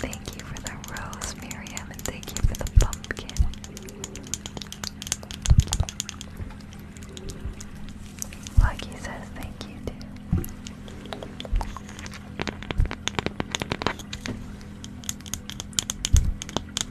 Thank you for the rose, and thank you for the pumpkin. Lucky says thank you too.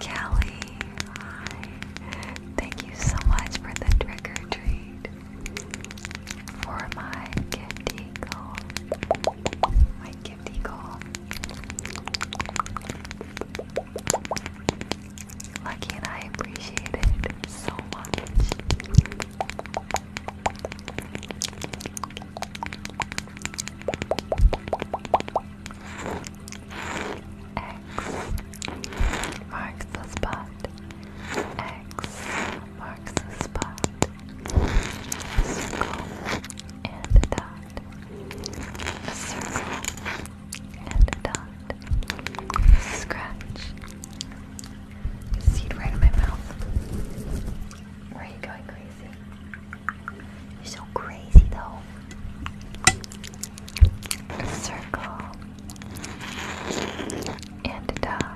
Kelly, hi. Thank you so much for the trick or treat for my gift eagle. My gift eagle. Lucky and I appreciate it so much. X marks spot X marks the spot, circle and dot, circle and dot, scratch. Seed right in my mouth. Where are you going crazy? You're so crazy though. circle and a dot.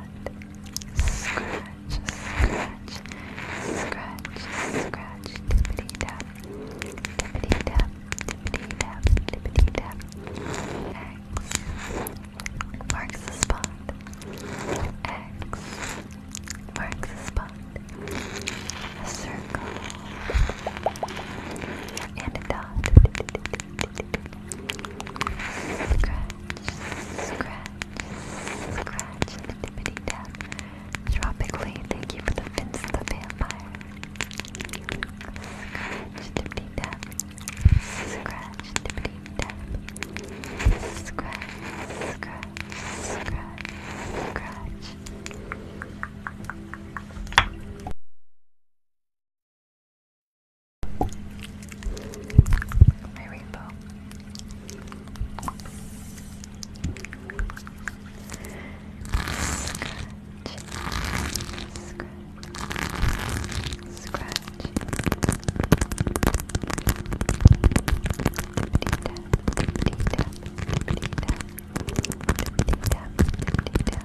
Scratch, scratch, scratch, scratch, tippity tap, tippity tap, tippity tap, tippity tap. X marks the spot. X marks the spot. A circle and a dot scratch, scratch the tap. Tropically, thank you for the fins of the vampire. Scratch tippity tap. Scratch tippity tap. Scratch, scratch, scratch, scratch. My rainbow. Scratch. Scratch. Scratch. Tippity tap, tippity tap, tippity tap,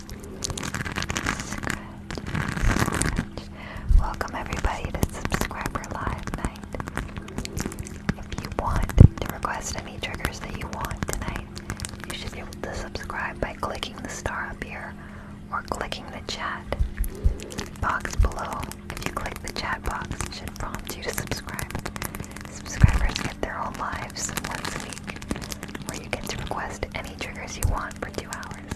Scratch, Welcome everybody to subscriber live night. If you want to request any triggers that you want tonight, you should be able to subscribe by clicking the star up here or clicking the chat box below. If you click the chat box, it should prompt you to subscribe. Subscribers get their own lives once a week where you get to request any triggers you want for two hours.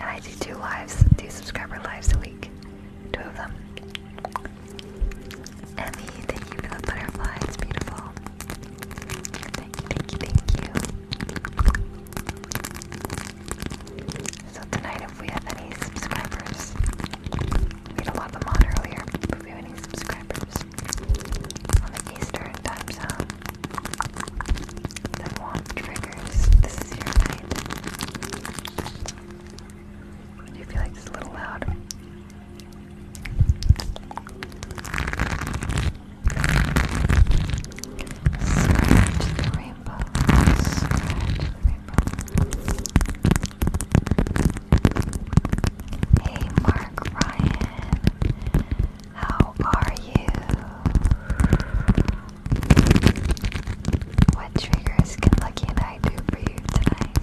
I do two lives, two subscriber lives a week, two of them. Emmy, thank you for the butterfly, it's beautiful. Thank you, thank you, thank you. So tonight if we have any subscribers, we had a lot them on earlier, for 300 subscribers on the Eastern time zone Do you feel like it's a little loud? Scratch the rainbow. Hey, Mark. Ryan. How are you? What triggers can Lucky and I do for you tonight?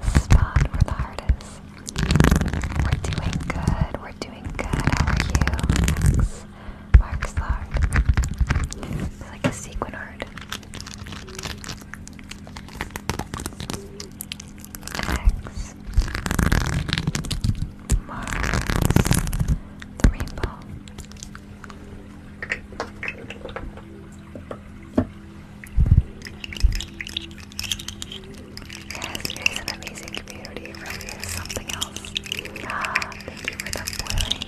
The spot where the heart is. We're doing good. We're doing good. How are you? Mark's Lard. It's like a sequin art. X marks the rainbow. Yes, it is an amazing community. It really is something else. Ah, thank you for the boiling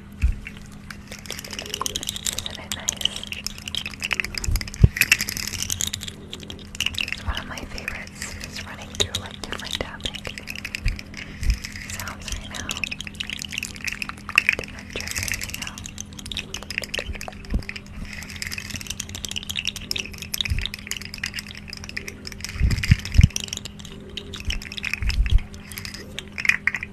Isn't it nice? One of my favorites is running through like different tapping sounds right now. Different triggers, you know.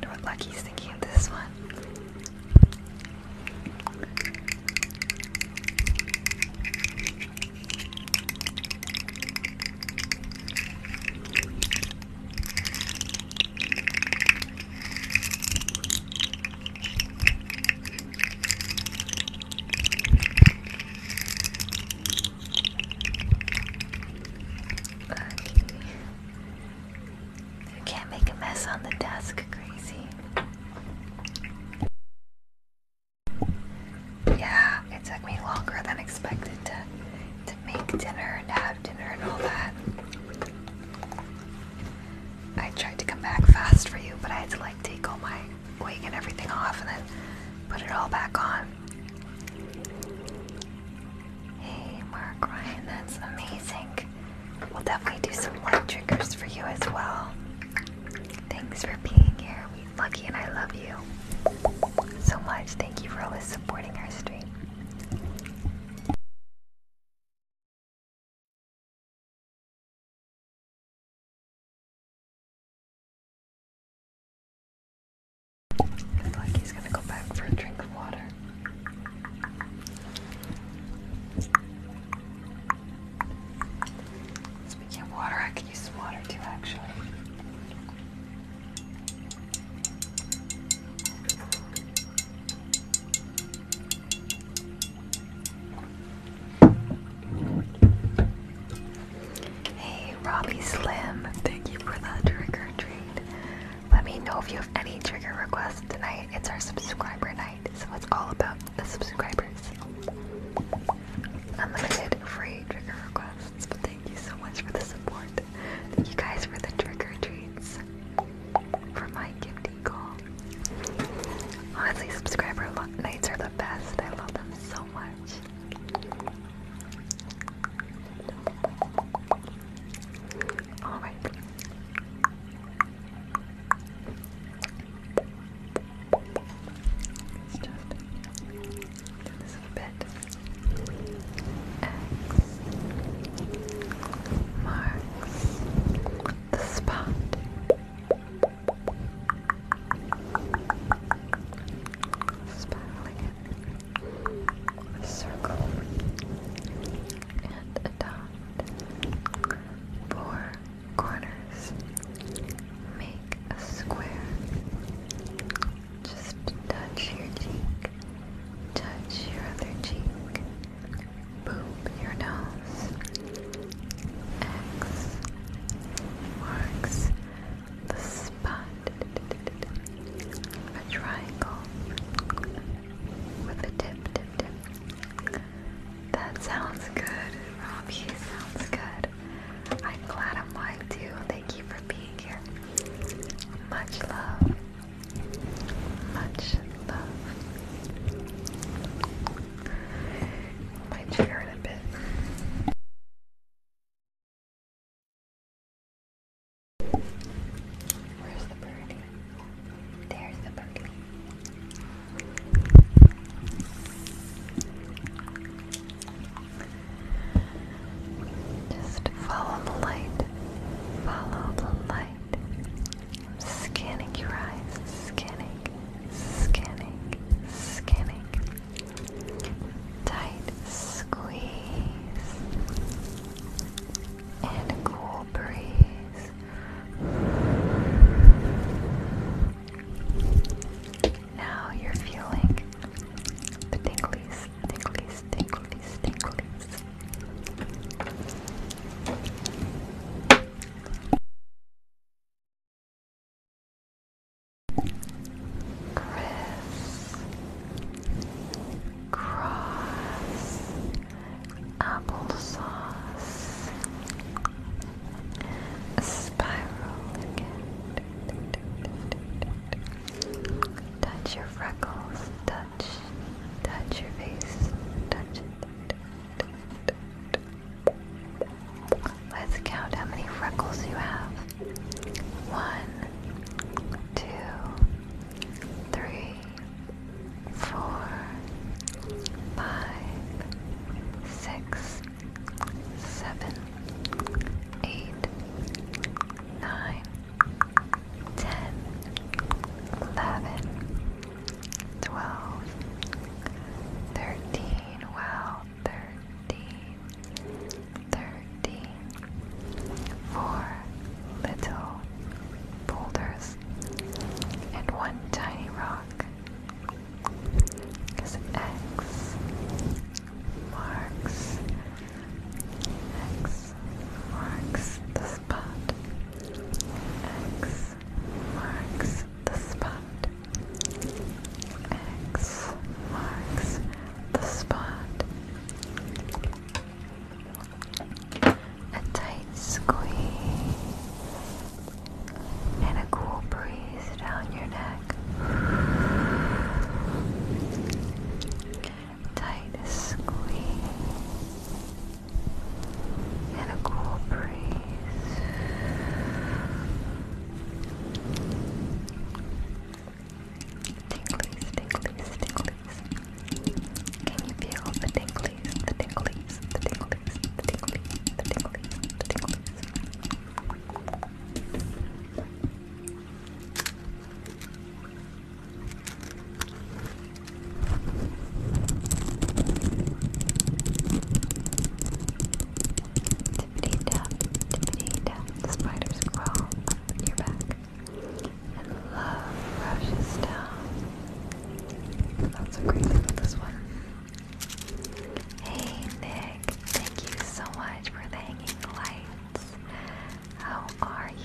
Don't look like he's thinking of this one. You can't make a mess on the desk, crazy. Yeah, it took me longer than expected to to make dinner and have dinner and all that. I tried to come back fast for you, but I had to like take all my wig and everything off and then put it all back on. Hey, Mark Ryan, that's amazing. We'll definitely do some light triggers for you as well. Thanks for being here. We lucky and I love you so much. Thank you for always supporting our stream. Looks like he's gonna go back for a drink of water. Speaking of water, I could use some water too, actually. Hey, Robbie Slim, thank you for that trick or treat. Let me know if you have any trigger requests tonight. It's our subscriber night, so it's all about the subscribers. Unlimited free trigger requests. But thank you so much for the support. Thank you guys for the trigger treats. For my gift call. Honestly, subscriber nights are the best. I love them so much. All right. Let's just do this bit. marks the spot. Spiraling it. A circle and adopt four corners. Make a square. Just touch your cheek, touch your other cheek, boop your nose. X marks the spot. A triangle with a tip, tip, tip. That sounds good, Robbie. Sounds good. I'm glad I'm live too. Thank you for being here. Much love. Much love. Might cheer in a bit. Where's the birdie? There's the birdie. Just follow the light. Follow the light. I'm scanning your eyes. Scanning. Scanning. Scanning. Tight squeeze and a cool breeze. Now you're feeling the tinglies, tinglies, tinglies, tinglies. Chris, Cross, applesauce, spiral Touch your freckles, touch, touch your face, touch Let's count how many freckles you have. One, two, three, four, five, six, seven, eight, nine, ten, eleven, twelve, thirteen. Wow, thirteen, thirteen. Four little boulders and one tiny rock. Because X marks X marks the spot. X marks the spot. X marks the spot a tight squeeze, and a cool breeze down your neck. Tight squeeze, and a cool breeze. Tinklies, tinklies, tinklies. Can you feel the tinglies, the tinglies, the tinglies, the tinglies, the tinglies, the tinglies? Tippity tap, tippity tap, the spiders crawl up your back and love rushes down. That's a great with this one. Hey Nick, thank you so much for the hanging lights. How are you?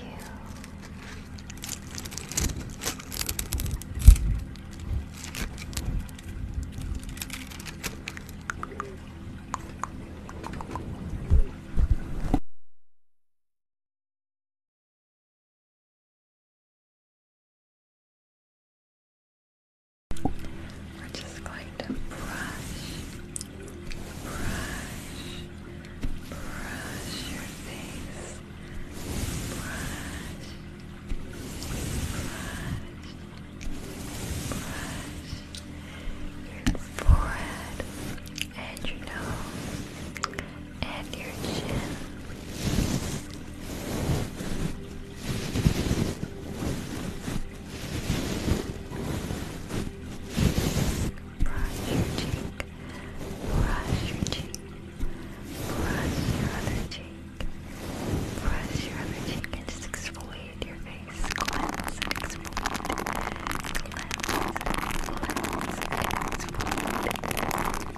We're just going to brush, brush, brush your face, brush, brush, brush your forehead and your nose and your chin. Brush your cheek, brush your cheek, brush your other cheek, brush your other cheek, and just exfoliate your face. Cleanse and exfoliate. Cleanse,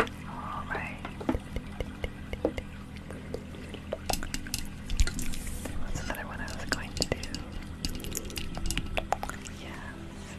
All right. There another one I was going to do. Yes.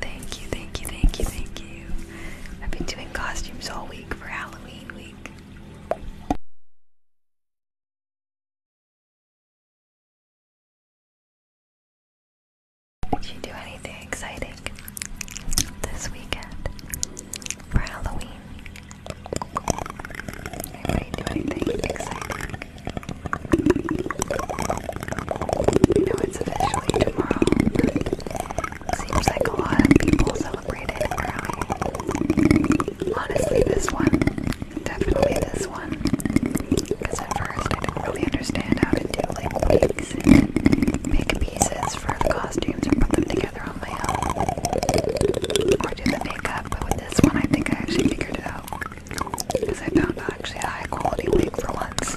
Thank you, thank you, thank you, thank you. I've been doing costumes all week for Halloween week. Did you do anything exciting this weekend for Halloween? Anybody do anything exciting? I it's officially tomorrow, seems like a lot of people celebrate it early. Honestly, this one. Definitely this one. Because at first I didn't really understand how to do like these big pieces for costumes and put them together on my own. Or do the makeup, but with this one I think I actually figured it out. Because I found actually a high quality wig for once.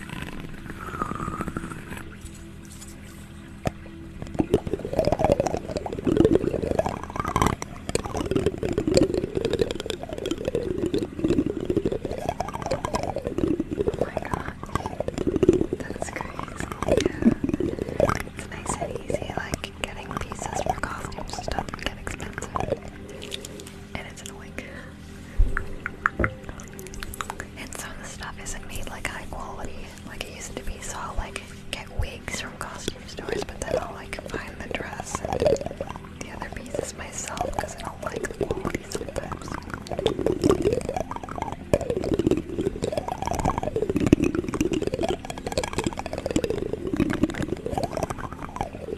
Oh That's crazy. Yeah. It's nice and easy, like getting pieces for costumes and stuff can get expensive and it's annoying. And some of the stuff isn't made like high quality like it used to be, so I'll like get wigs from costume stores, but then I'll like find the dress and the other pieces myself because I don't like the quality sometimes.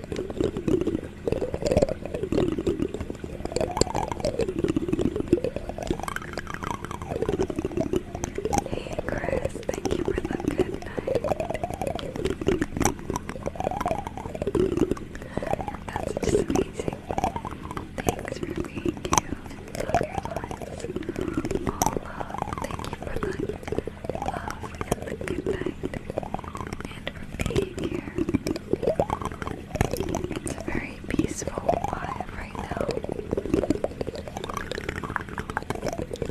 Hey Chris, thank you for the good night. That's just amazing. Thanks for being you. Love your lives. All love. Thank you for the love and the good night and being here. It's a very peaceful vibe right now.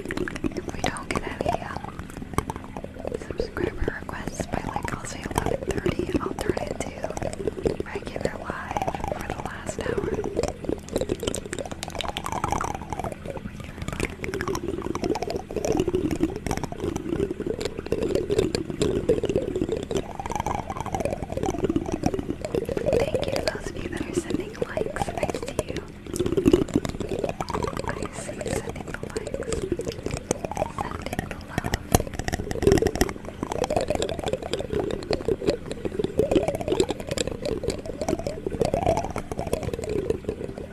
If we don't get any um, subscriber requests by like I'll say 11:30, I'll turn it regular live for the last hour. Thank you to those of you that are sending likes. Nice to you. I see you sending the likes. Sending the love.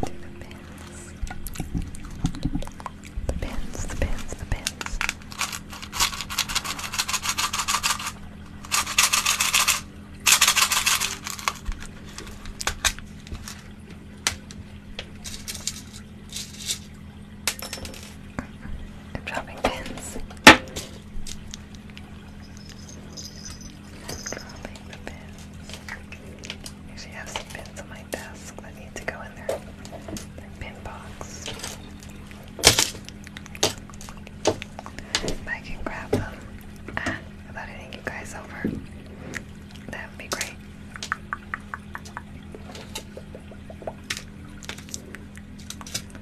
The pins. The pins, the pins, the pins. I'm dropping pins. I actually have some pins on my desk that need to go in their, pin box. If I can grab them ah, without hitting you guys over, that would be great.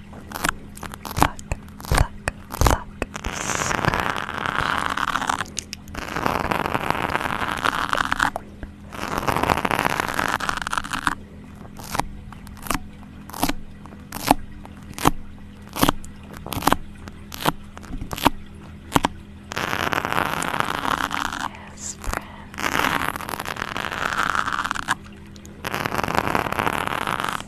pluck, pluck, pluck, scratch. Yes, friends.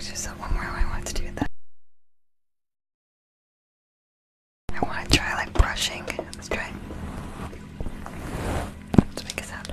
just one more I want to do that. I want to try like brushing. Let's try. Let's make a sound.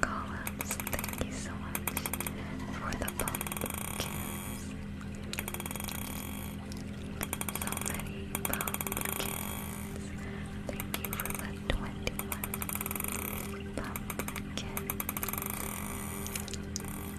Columns, thank you so much for the pumpkins. So many pumpkins. Thank you for the 21 pumpkins.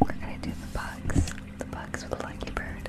We're gonna do the bugs. The bugs with Lucky Bird.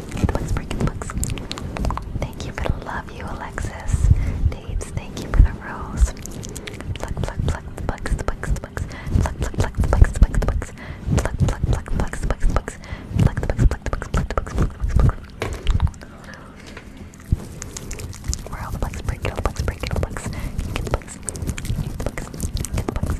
Good looks, breaking looks. Thank you for the love, you Alexis. Daves, thank you for the rose. Pluck, pluck, pluck, the bugs, the bugs, the bugs. Pluck, pluck, pluck, the bugs, the bugs, the bugs. Pluck, pluck, pluck, the bugs, the bugs, the bugs. Pluck, the bugs, pluck, the bugs, pluck, the bugs, pluck, the bugs, pluck. Where all the bugs break, all the bugs break, all the bugs. Get the bugs, get the bugs, get the bugs.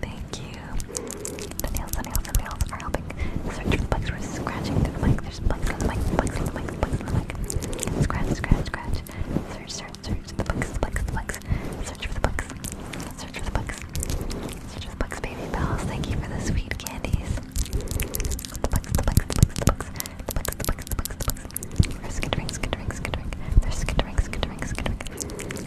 Thank you. The nails, the nails, the nails are helping search for the bugs. We're scratching the mic. There's bugs on the mic, bugs on the mic, bugs on the mic. Scratch, scratch, scratch. Search, search, search. The bugs, the bugs, the bugs. Search for the bugs. Search for the bugs. Search for the bugs, baby bells. Thank you for the sweet candies. The bugs, the bugs, the bugs, the bugs. The bugs, the bugs, the bugs, the bugs. We're skittering, skittering, skittering. They're skittering, skittering, skittering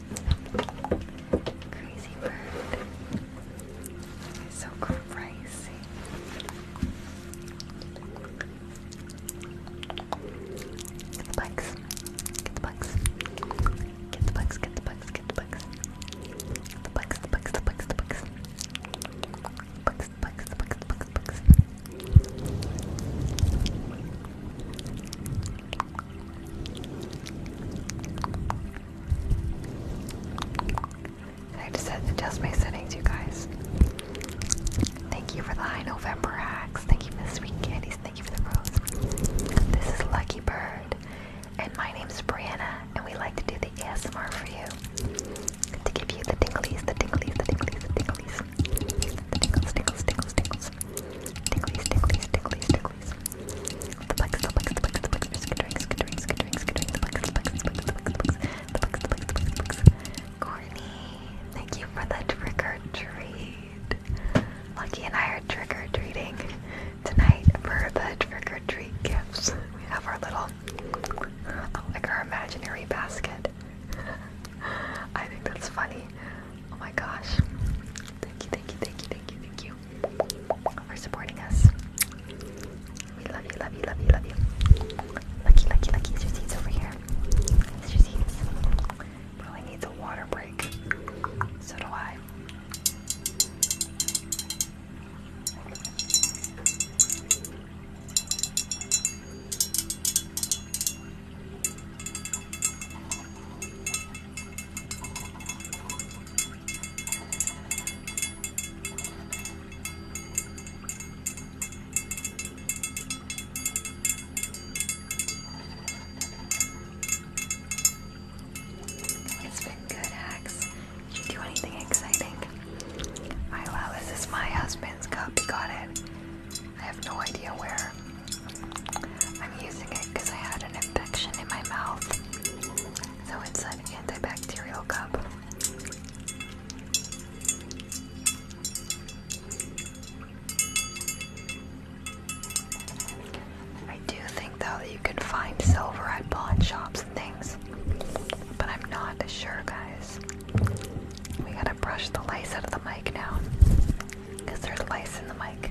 Crazy bird, so crazy. Get the bugs. Get the bugs. Get the bugs. Get the bugs. Get the bugs. The bugs. The bugs. The bugs. The bugs. Bugs. Bugs. The bugs. Bugs. Bugs. I had set, adjust my settings, you guys. Thank you for the high November hacks. Thank you for the sweet candies. Thank you for the rose. This is Lucky Bird, and my name is Brianna, and we like to do the ASMR for you to give you the tinglies, the tinglies, the tinglies, the tinglies, the tingles, tingles, tingles, tingles, tinglies, tinglies, tinglies, boys. thank you for the trick or treat. Lucky and I are trick or treating tonight for the trick or treat gifts. We have our little, oh, like our imaginary basket. I think that's funny. Oh my gosh. Thank you, thank you, thank you, thank you, thank you you for supporting us. We love you, love you, love you, love you. Lucky, lucky, lucky. Is your over here? Is your seats? Probably needs a water break. So do I. It's been good, Axe. you do anything exciting? I love is my husband's cup. He got it. I have no idea where. I'm using it because I had an infection in my mouth. So it's an antibacterial cup. I do think though that you can find silver at pawn shops and things, but I'm not sure, guys. We gotta brush the lice out of the mic now, because there's lice in the mic.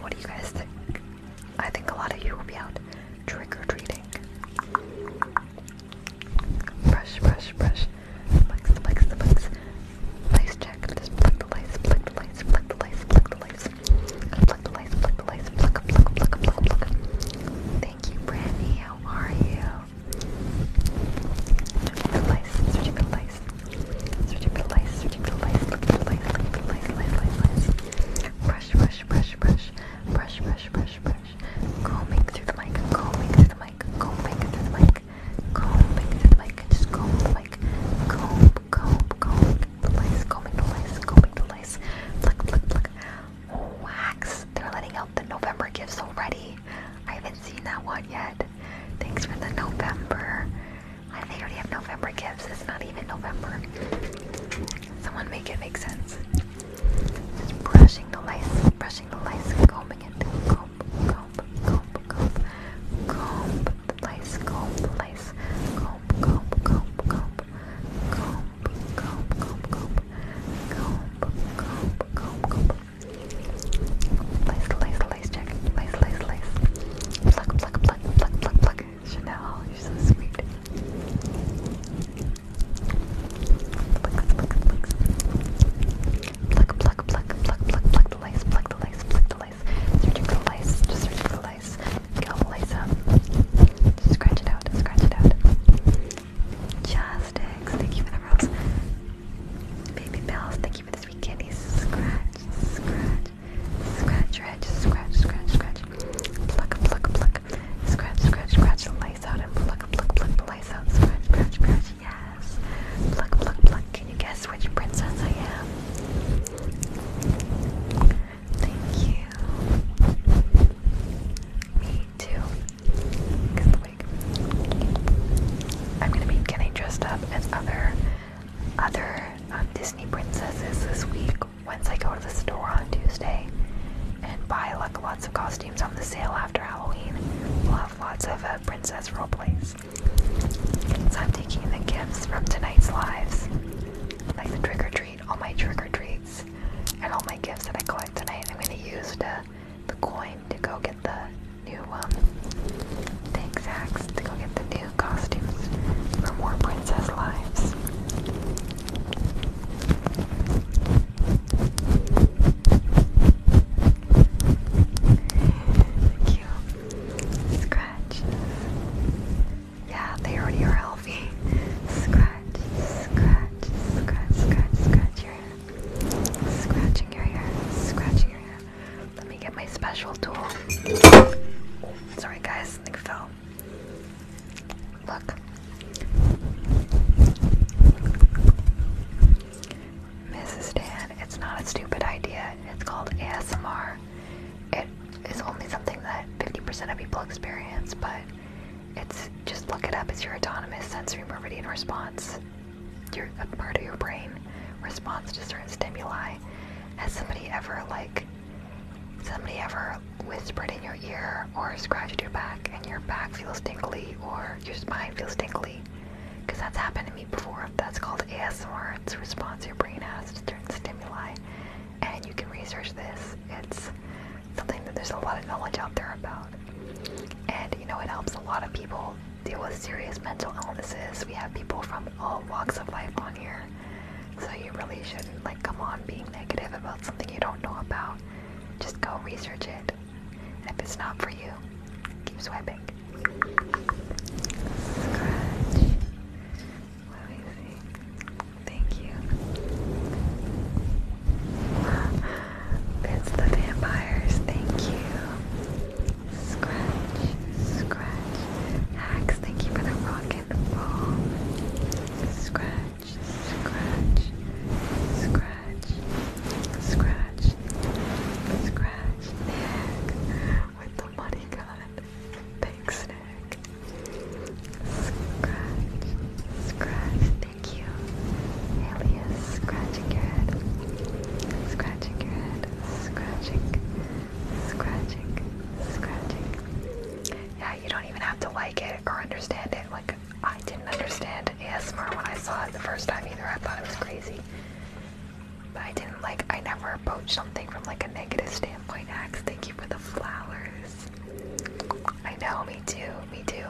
What do you guys think? I think a lot of you will be out trick or treating. Brush, brush, brush. Flex, flex, flex. Lice check. Just the lice, flick the lice, flick the lice, flick the lice. Flick the lice, flick the lice, flick, flick, flick, flick, flick. Thank you, Brandy. How are you? Stretching the lice, stretching the lice ridiculous, Brush, brush, brush, brush, brush, brush, brush, brush. Combing through the mic, combing through the mic, combing through the mic, combing through the mic. Just comb the mic, comb, comb, comb the lice, combing the lice, combing the lice. Look, look, look. Wax. They're letting out the November gifts already. I haven't seen that one yet. Thanks for the November. I do they already have November gifts? It's not even November. Someone make it make sense. brushing the lice, brushing the lice, combing it. Comb, comb, comb, comb. Comb the comb the Comb, comb, comb, comb. Comb, comb, comb, comb. Comb, comb, comb, comb. Lice, lice, lace lace, lace, lace. Pluck, pluck, pluck, pluck, pluck, pluck. Chanel, you're so sweet. Pluck, pluck, pluck. Pluck, pluck, pluck, the lace, pluck the lace, pluck the lace. Searching for lace, just searching for lace. Get all the lace up. scratch it out, scratch it out. Chastics, thank you for the rose. Baby bells, thank you for the sweet candies. Scratch, scratch, Scratch, scratch, scratch, scratch, scratch. Pluck, pluck, pluck. Scratch, scratch, scratch. Lace out and pluck, pluck, pluck. Lace out. Scratch, scratch, scratch. Yes. Pluck, pluck, pluck. Can you guess which princess I am? Thank you. Me too. Get the wig. I'm gonna be getting dressed up as other other um, Disney princesses this week once I go to the store on Tuesday and buy like lots of costumes on the sale after Halloween. We'll have lots of uh, princess role plays. So I'm taking the gifts from tonight's lives, like the trick or treat, all my trick or treats, and all my gifts that I collect tonight. I'm gonna use the, the coin to go get the new things, um, thanks to go get the new costumes for more princess lives. Cute scratches. Yeah, they already are Scratch, scratch, scratch, scratch, scratch your hair. Scratching your hair, scratching your hair. Let me get my special tool. Sorry guys, something fell. Look. Mrs. Dan, it's not a stupid idea. It's called ASMR. It is only something that 50% of people experience, but it's just look it up. It's your autonomous sensory meridian response. Your, a part of your brain responds to certain stimuli. Has somebody ever, like, somebody ever whispered in your ear or scratched your back and your back feels tingly or your spine feels tingly? Because that's happened to me before. That's called ASMR. It's a response your brain has to certain stimuli. And you can research this. It's something that there's a lot of knowledge out there about. And you know, it helps a lot of people deal with serious mental illnesses. We have people from all walks of life on here. So you really shouldn't like come on being negative about something you don't know about. Just go research it. And if it's not for you, keep swiping. Let me see. Thank you. It's the vampires. Thank you. Scratch, scratch. Hacks, thank you for the rock and roll. Scratch, scratch, scratch, scratch, scratch. Nick with the money gun. Thanks, Nick. Scratch, scratch. Thank you. Alias, scratching your head. Scratching your head. Scratching. Yeah, you don't even have to like it or understand it. Like, I didn't understand ASMR when I saw it the first time either. I thought it was crazy. But I didn't like, I never approached something from like a negative standpoint. Axe, thank you for the flowers. I know, me too, me too.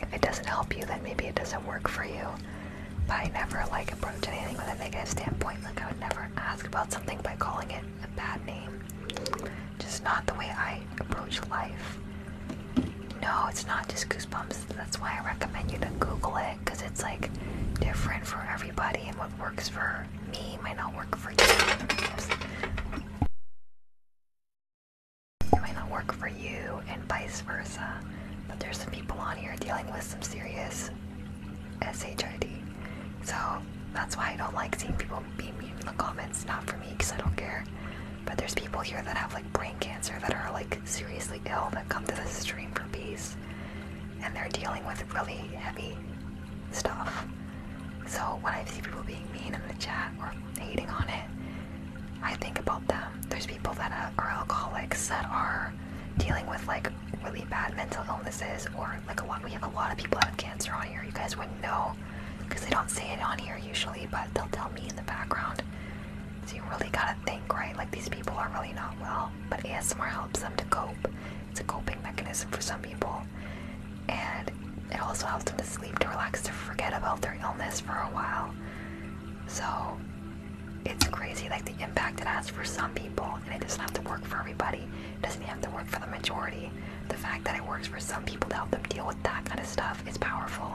If it doesn't help you, then maybe it doesn't work for you. But I never like approach anything with a negative standpoint. Like I would never ask about something by calling it a bad name. Just not the way I approach life. No, it's not just goosebumps. That's why I recommend you to Google it because it's like different for everybody, and what works for me might not work for you. It might not work for you, and vice versa. But there's some people on here dealing with some serious S-H-I-D. So that's why I don't like seeing people be mean in the comments. Not for me, because I don't care. But there's people here that have like brain cancer that are like seriously ill that come to this stream for peace. And they're dealing with really heavy stuff. So when I see people being mean in the chat or hating on it, I think about them. There's people that are alcoholics that are dealing with like really bad mental illnesses or like a lot we have a lot of people that have cancer on here you guys wouldn't know because they don't say it on here usually but they'll tell me in the background so you really gotta think right like these people are really not well but asmr helps them to cope it's a coping mechanism for some people and it also helps them to sleep to relax to forget about their illness for a while so it's crazy like the impact it has for some people and it doesn't have to work for everybody it doesn't have to work for the majority the fact that it works for some people to help them deal with that kind of stuff is powerful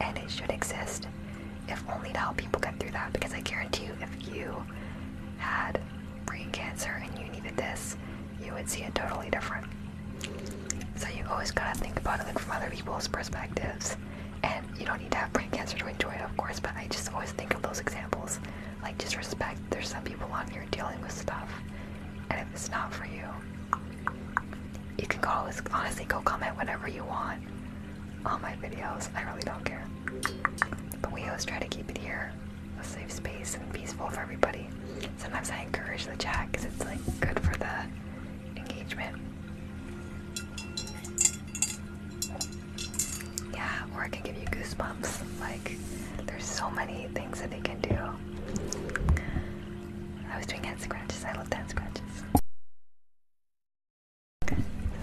and it should exist if only to help people get through that because i guarantee you if you had brain cancer and you needed this you would see it totally different so you always gotta think about it from other people's perspectives and you don't need to have brain cancer to enjoy it, of course, but I just always think of those examples. Like, just respect there's some people on here dealing with stuff, and if it's not for you, you can always, honestly go comment whatever you want on my videos. I really don't care. But we always try to keep it here a safe space and peaceful for everybody. Sometimes I encourage the chat because it's like good for the engagement. Yeah, or I can give you goosebumps. Like, there's so many things that they can do. I was doing hand scratches. I love hand scratches.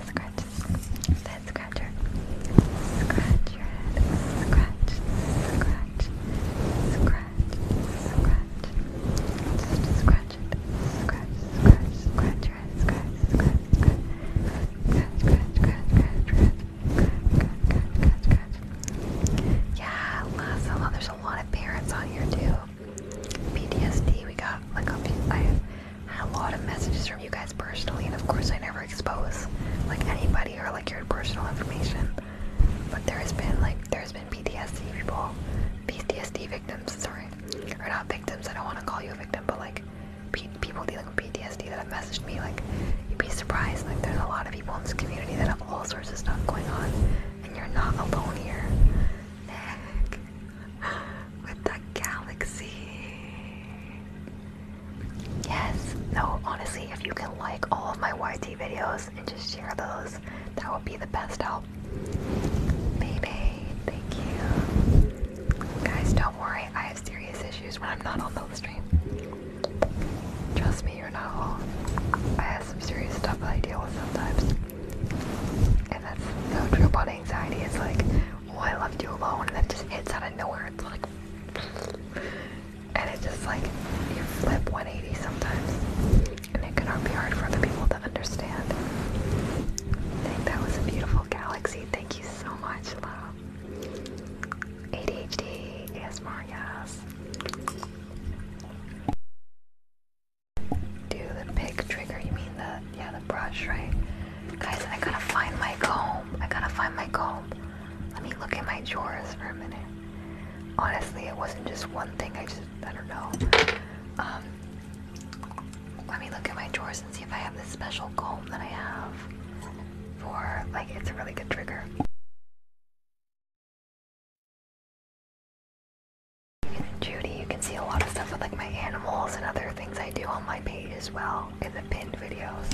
Scratches. That scratcher. Scratch Scratch. Scratch. Scratch. Scratch. scratch Scratch. Scratch. Scratch yeah, Lazilla, there's a lot of parents on here too. PTSD, we got like a lot of messages from you guys personally, and of course I never expose like anybody or like your personal information. But there has been like there's been PTSD people, PTSD victims. Sorry, or not victims. I don't want to call you a victim, but like people dealing with PTSD that have messaged me, like, you'd be surprised, like, there's a lot of people in this community that have all sorts of stuff going on, and you're not alone here. Nick, with the galaxy. Yes, no, honestly, if you can like all of my YT videos and just share those, that would be the best help. Baby, thank you. Guys, don't worry, I have serious issues when I'm not on the stream. Trust me, you're not alone. I have some serious stuff that I deal with sometimes. And that's so true about anxiety. It's like, oh, I left you alone, and that just hits out of nowhere. and it's just like, you flip 180 sometimes. And it can be hard for other people to understand. I think that was a beautiful galaxy. Thank you so much, love. ADHD, ASMR, yes. Do the pick trigger, you mean the, yeah, the brush, right? Guys, I gotta find my comb. I gotta find my comb. Let me look at my drawers for a minute. Honestly, it wasn't just one thing. I just, I don't know. Um, let me look at my drawers and see if I have this special comb that I have for, like, it's a really good trigger. Judy, you can see a lot of stuff with, like, my animals and other things I do on my page as well in the pinned videos.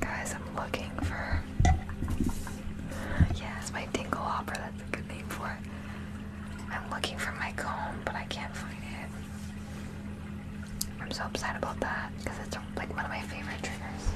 Guys, I'm looking for. Yeah, my dingle hopper, that's a good name for it. I'm looking for my comb, but I can't find it. I'm so upset about that because it's like one of my favorite triggers.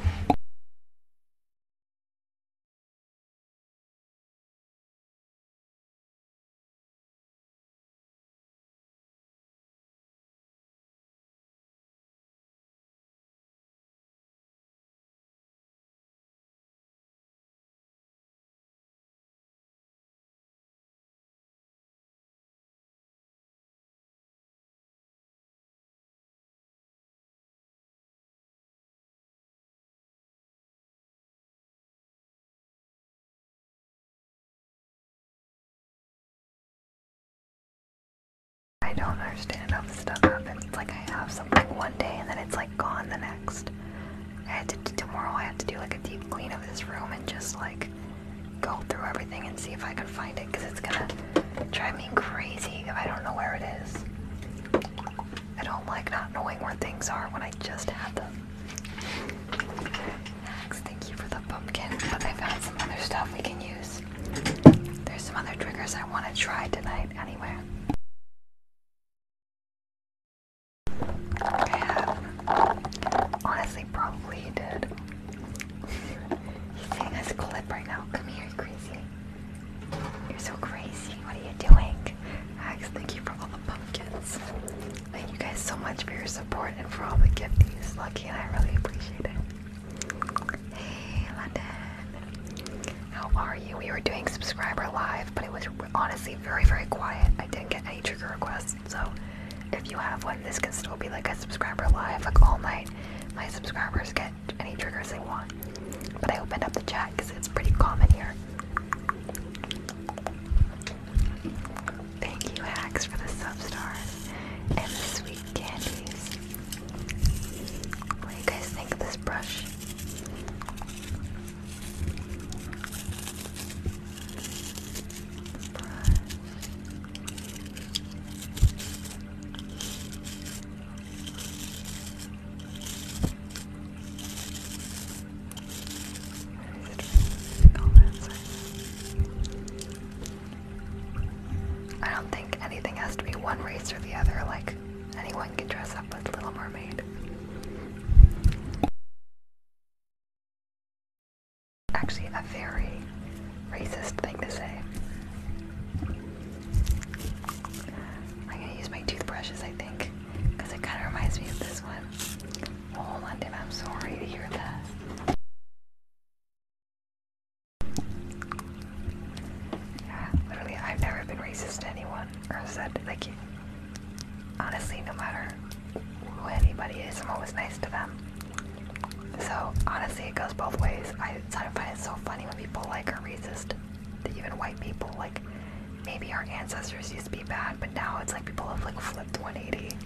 I don't understand how this stuff happens. It's like I have something one day and then it's like gone the next. I had to tomorrow I have to do like a deep clean of this room and just like go through everything and see if I can find it because it's gonna drive me crazy if I don't know where it is. I don't like not knowing where things are when I just have them. Max, thank you for the pumpkin, but I found some other stuff we can use. There's some other triggers I want to try tonight anyway honestly probably did. He's seeing this clip right now. Come here, you crazy. You're so crazy. What are you doing? Ax, thank you for all the pumpkins. Thank you guys so much for your support and for all the gifties. Lucky and I really appreciate it. Hey, London. How are you? We were doing subscriber live, but it was honestly very, very quiet. I didn't get any trigger requests. So if you have one, this can still be like a subscriber live, like all night. My subscribers get any triggers they want. But I opened up the chat because it's pretty common here. Thank you, Hacks, for the sub stars and the sweet candies. What do you guys think of this brush? I don't think anything has to be one race or the other, like anyone can dress up with Little Mermaid. Actually, a very racist thing to say. I'm gonna use my toothbrushes, I think, because it kind of reminds me of this one. Oh, London, I'm sorry to hear that. Yeah, literally, I've never been racist to anyone or said, like, honestly, no matter who anybody is, I'm always nice to them. So honestly, it goes both ways. I sort of find it so funny when people like are racist, even white people. Like maybe our ancestors used to be bad, but now it's like people have like flipped 180.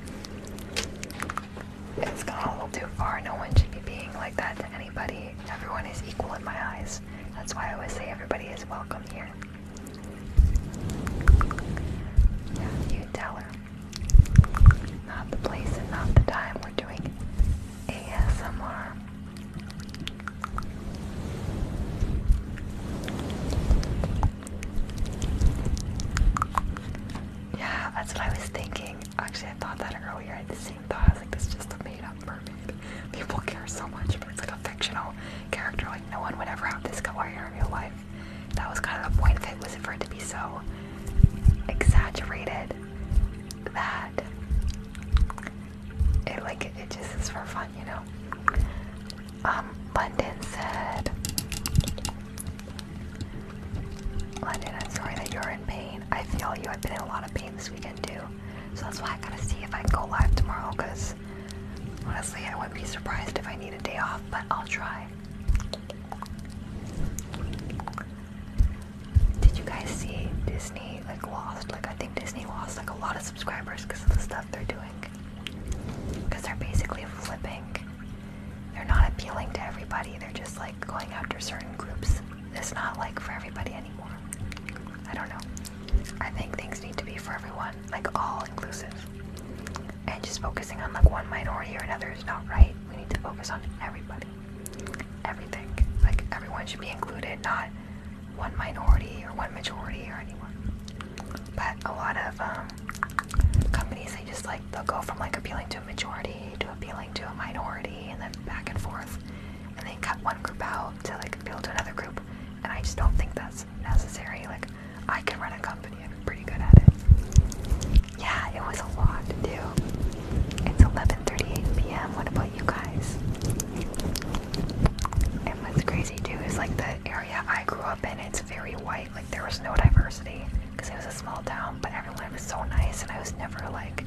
It's gone a little too far. No one should be being like that to anybody. Everyone is equal in my eyes. That's why I always say everybody is welcome here. you tell her. Not the place and not the time. We're doing ASMR. Yeah, that's what I was thinking. Actually, I thought that earlier. I had the same thought. I was like, this is just a made up mermaid. People care so much, but it's like a fictional character. Like, no one would ever have this color in real life. That was kind of the point of it, was for it to be so exaggerated that it like it just is for fun, you know. Um, London said London, I'm sorry that you're in pain. I feel you. I've been in a lot of pain this weekend too. So that's why I gotta see if I can go live tomorrow because honestly I wouldn't be surprised if I need a day off, but I'll try. Did you guys see Disney like lost? Like I think Disney lost like a lot of subscribers because of the stuff they're doing. Because they're basically flipping. They're not appealing to everybody. They're just like going after certain groups. It's not like for everybody anymore. I don't know. I think things need to be for everyone, like all inclusive. And just focusing on like one minority or another is not right. We need to focus on everybody. Everything. Like everyone should be included, not one minority or one majority or anyone. But a lot of um, companies, they just like, they'll go from like appealing to a majority to appealing to a minority and then back and forth. And they cut one group out to like appeal to another group. And I just don't think that's necessary. Like, I can run a company. I'm pretty good at it. Yeah, it was a lot to do. It's 11:38 p.m. What about you guys? And what's crazy too is like the area I grew up in. It's very white. Like there was no diversity because it was a small town. But everyone was so nice, and I was never like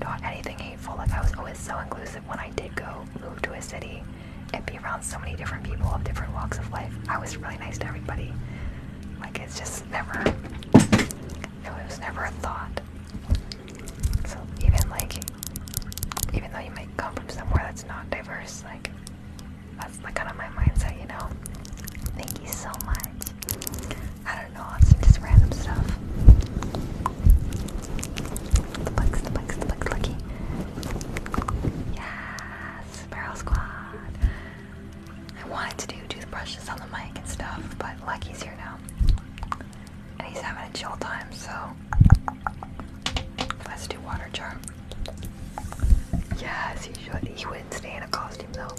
not anything hateful. Like I was always so inclusive when I did go move to a city and be around so many different people of different walks of life. I was really nice to everybody. Like it's just never, it was never a thought. So even like, even though you might come from somewhere that's not diverse, like that's like kind of my mindset, you know. Thank you so much. I don't know, just random stuff. The bugs, the bugs, the bugs, lucky. Yes, barrel squad. I wanted to do toothbrushes on the mic and stuff, but Lucky's here now. And he's having a chill time, so let's do water jar. Yes, he should. He wouldn't stay in a costume though.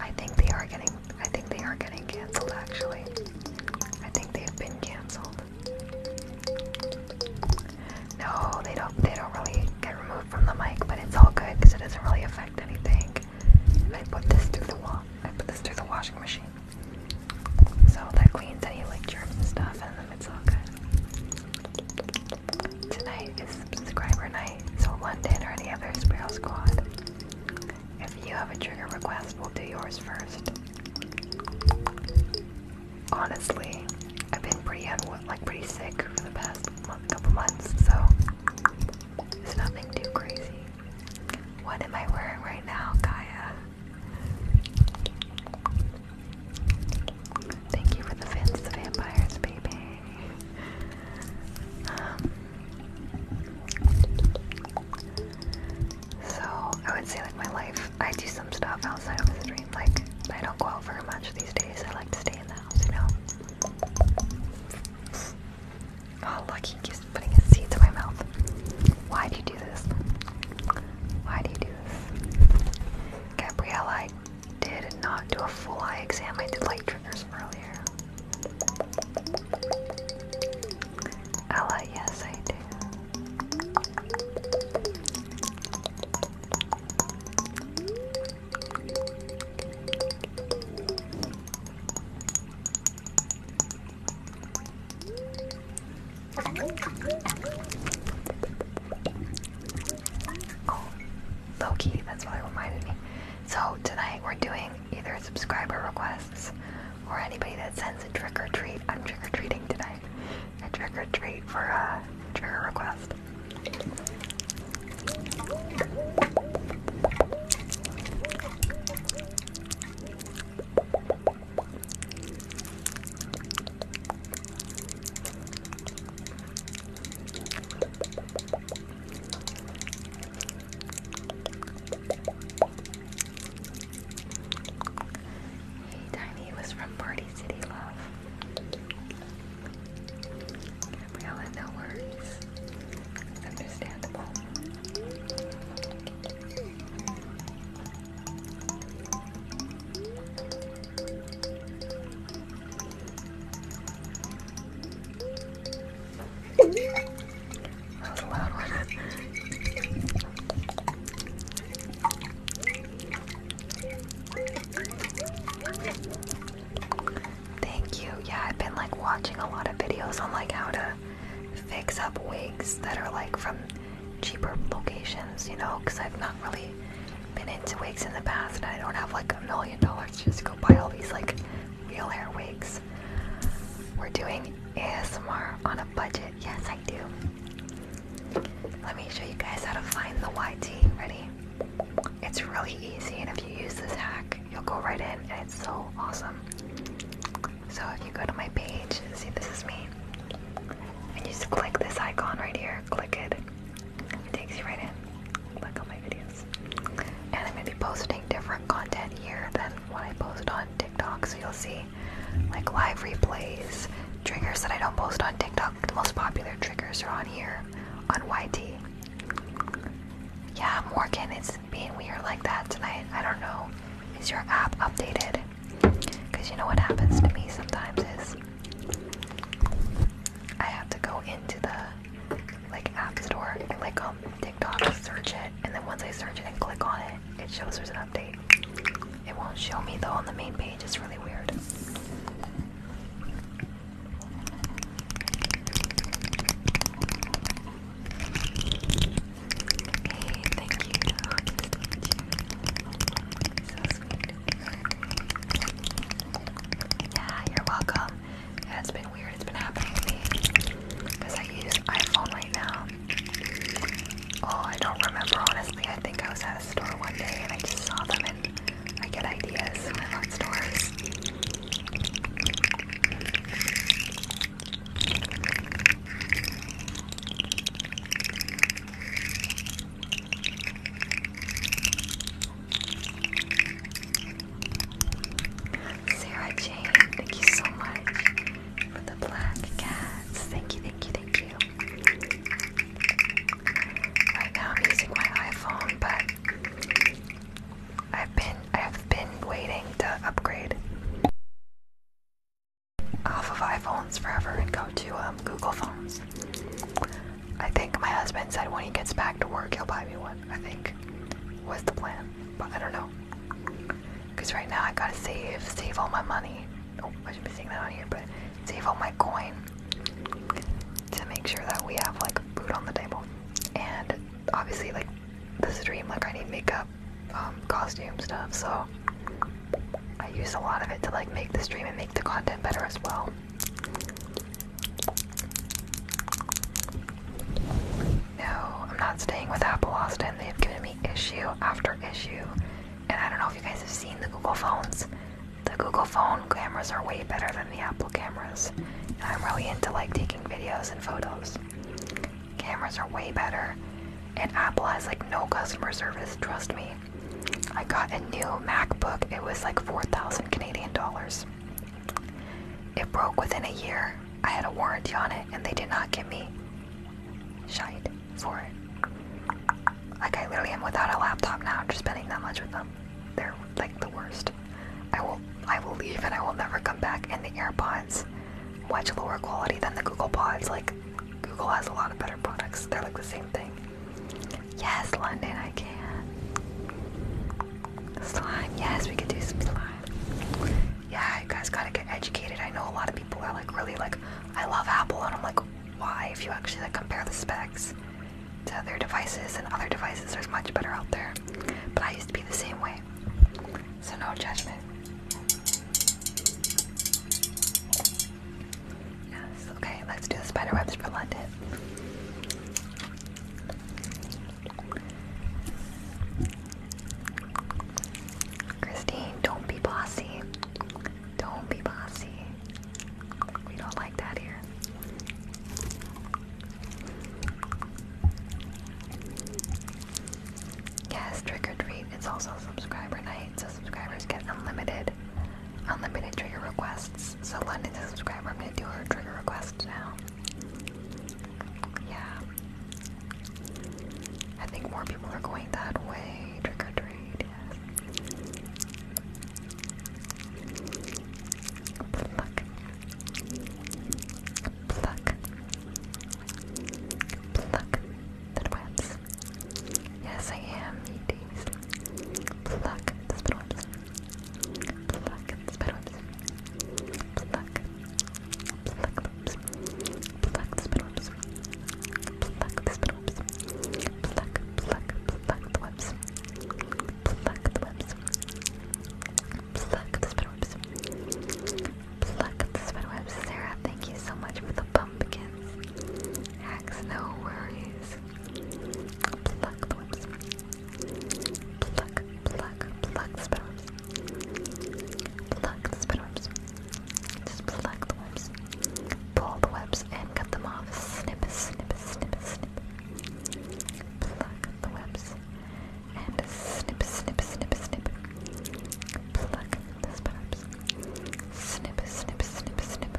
I think they are getting I think they are getting cancelled actually. I think they've been cancelled. No, they don't. They don't really get removed from the mic, but it's all good because it doesn't really affect anything. I put this through the wall. I put this through the washing machine, so that cleans any like germs stuff, and then it's all good. Tonight is subscriber night, so London or any other Sparrow Squad. If you have a trigger request, we'll do yours first honestly, I've been pretty like pretty sick for the past couple months, so it's nothing too crazy. What am I wearing right now, Kaya? Thank you for the fans, the vampires, baby. Um, so I would say like my life I do some stuff outside of the stream, like I don't go out very much these days. I like to stay in the house, you know. Oh look, he putting his seeds in my mouth. Why do you do this? Why do you do this? Gabrielle, I did not do a full eye exam. I did light triggers earlier. Ella, yes I do. Loki, that's what it reminded me. So tonight we're doing either subscriber requests or anybody that sends a trick or treat. I'm trick or treating tonight a trick or treat for a trigger request. Hey, Tiny was from Party City Love. Gabriella, no worries. understandable. that was a loud one. Thank you. Yeah, I've been like watching a lot of videos on like how to fix up wigs that are like from cheaper locations, you know, because I've not really been into wigs in the past and I don't have like a million dollars just to go buy all these like real hair wigs. We're doing ASMR on a budget. Yes, let me show you guys how to find the YT. Ready? It's really easy, and if you use this hack, you'll go right in, and it's so awesome. So if you go to my page, see this is me, and you just click this icon right here, click it, it takes you right in. Click on my videos. And I'm gonna be posting different content here than what I post on TikTok, so you'll see like live replays, triggers that I don't post on TikTok. The most popular triggers are on here on YT. Yeah, Morgan, it's being weird like that tonight. I don't know. Is your app updated? Because you know what happens to me sometimes is I have to go into the like app store, like um TikTok, search it, and then once I search it and click on it, it shows there's an update. It won't show me though on the main page, it's really weird. Hey, thank you. Yeah, you're welcome. it's been weird. It's been happening to me because I use iPhone right now. Oh, I don't remember honestly. I think I was at a store one day and I just saw them and I get ideas when i love stores. Sarah Jane, thank you so much for the black cats. Thank you, thank you, thank you. Right now I'm using my iPhone, but I've been I've been waiting to upgrade off of iPhones forever and go to um, Google phones. I think my husband said when he gets back to work he'll buy me one. I think was the plan, but I don't know. Cause right now I gotta save, save all my money oh, I should be seeing that on here, but save all my coin to make sure that we have like food on the table. And obviously, like the stream, like I need makeup, um, costume stuff, so I use a lot of it to like make the stream and make the content better as well. No, I'm not staying with Apple Austin. They've given me issue after issue. And I don't know if you guys have seen the Google phones. The Google phone cameras are way better than the Apple cameras. I'm really into like taking videos and photos. Cameras are way better. And Apple has like no customer service, trust me. I got a new MacBook. It was like 4,000 Canadian dollars. It broke within a year. I had a warranty on it and they did not give me shite for it. Like I literally am without a laptop now after spending that much with them. They're like the worst. I will I will leave and I will never come back. And the AirPods, much lower quality than the Google Pods. Like Google has a lot of better products. They're like the same thing. Yes, London, I can. Slime, yes, we could do some slime. Yeah, you guys gotta get educated. I know a lot of people are like really like, I love Apple, and I'm like, why if you actually like compare the specs to other devices and other devices there's much better out there but I used to be the same way so no judgment yes okay let's do the spider webs for London Christine don't be bossy don't be bossy. We don't like that here. Yes, trick or treat. It's also subscriber night, so subscribers get unlimited, unlimited trigger requests. So London's a subscriber. I'm gonna do her trigger request now. Yeah. I think more people are going that way. Trick or treat. Pluck. Pluck. Pluck the webs. Yes, I am, you days. Pluck the spidwebs. Pluck the spidwebs. Pluck. Pluck the Pluck the spidwebs. Pluck the spidwebs webs. Pluck, pluck, pluck the webs. Pluck the webs. Pluck the spiderwebs. Pluck the spiderwebs. Sarah, thank you so much for the pumpkins. Axe, no worries. Pluck the webs. Pluck, pluck, pluck the spiderwebs. Pluck the spiderwebs. Just pluck the webs. Pull the webs and cut them off. Snip, snip, snip, snip. Pluck the webs and snip, snip, snip, snip. Pluck the spiders. Snip, snip, snip, snip.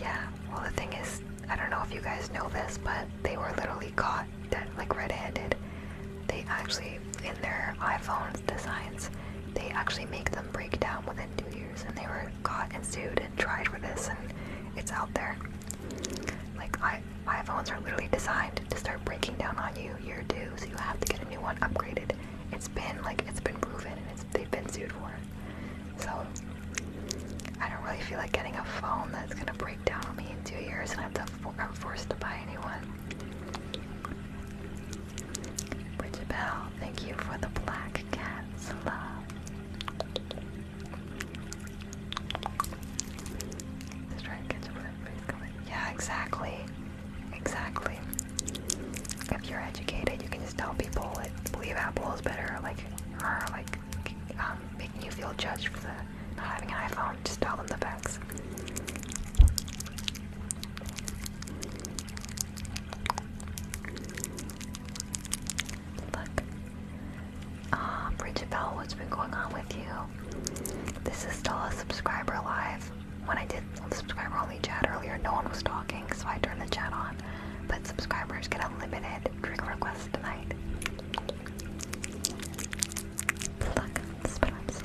Yeah, well, the thing is, I don't know if you guys know this, but they were literally caught dead, like red handed. They actually they in their iPhone's designs, they actually make them break down within two years, and they were caught and sued and tried for this, and it's out there. Like I, iPhones are literally designed to start breaking down on you year two, so you have to get a new one upgraded. It's been like it's been proven, and it's, they've been sued for it. So I don't really feel like getting a phone that's gonna break down on me in two years, and I have to, I'm forced to buy a new one. Bridget thank you for the black cat's love. Yeah, exactly. Exactly. If you're educated, you can just tell people that believe Apple is better, like, or like, um, making you feel judged for the, not having an iPhone. Just tell them the facts. Look. Um, what's been going on with you? This is still a subscriber live. When I did subscriber only chat earlier, no one was talking, so I turned the chat on. But subscribers get unlimited drink requests tonight. Look, spin ups.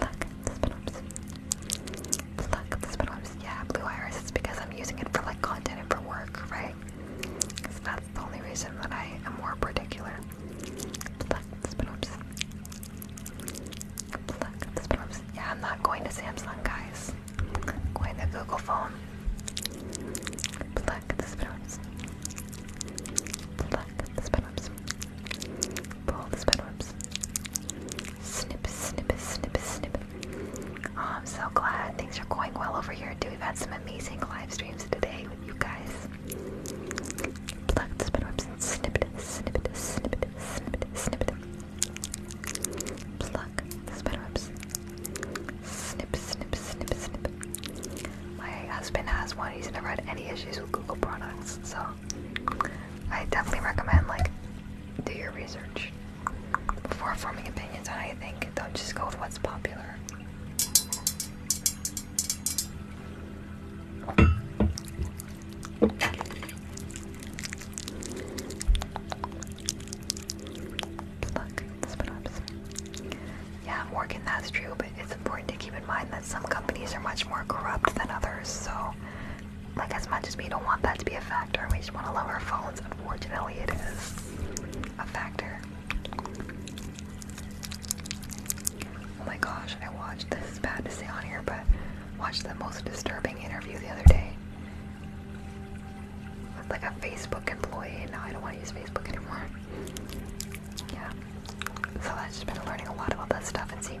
Look, spin ups. Look, this is yeah, Blue Iris. because I'm using it for like content and for work, right? that's the only reason that I am more particular. Pluck the spinops. Pluck the spinops. Yeah, I'm not going to Samsung, guys. I'm going to Google phone. Pluck the spinops. Pluck the spinops. Pull the spinwebs. Snip, snip, snip, snip. Oh, I'm so glad things are going well over here, too. We've had some amazing live streams today with you guys. Plucked the spinwebs and snipped, snipped, snipped, snipped, snipped. Pluck the spinwebs. Snip, snip, snip, snip. My husband has one. He's never had any issues with Google products, so I definitely recommend like do your research before forming opinions I think Don't just go with what's popular. Yeah, Morgan, that's true, but it's important to keep in mind that some companies are much more corrupt than others, so like as much as we don't want that to be a factor, we just want to love our phones. Unfortunately, it is a factor. Oh my gosh, I watched this is bad to say on here, but watched the most disturbing interview the other day with like a Facebook employee. Now I don't want to use Facebook anymore. Yeah. So I've just been learning a lot about that stuff and seeing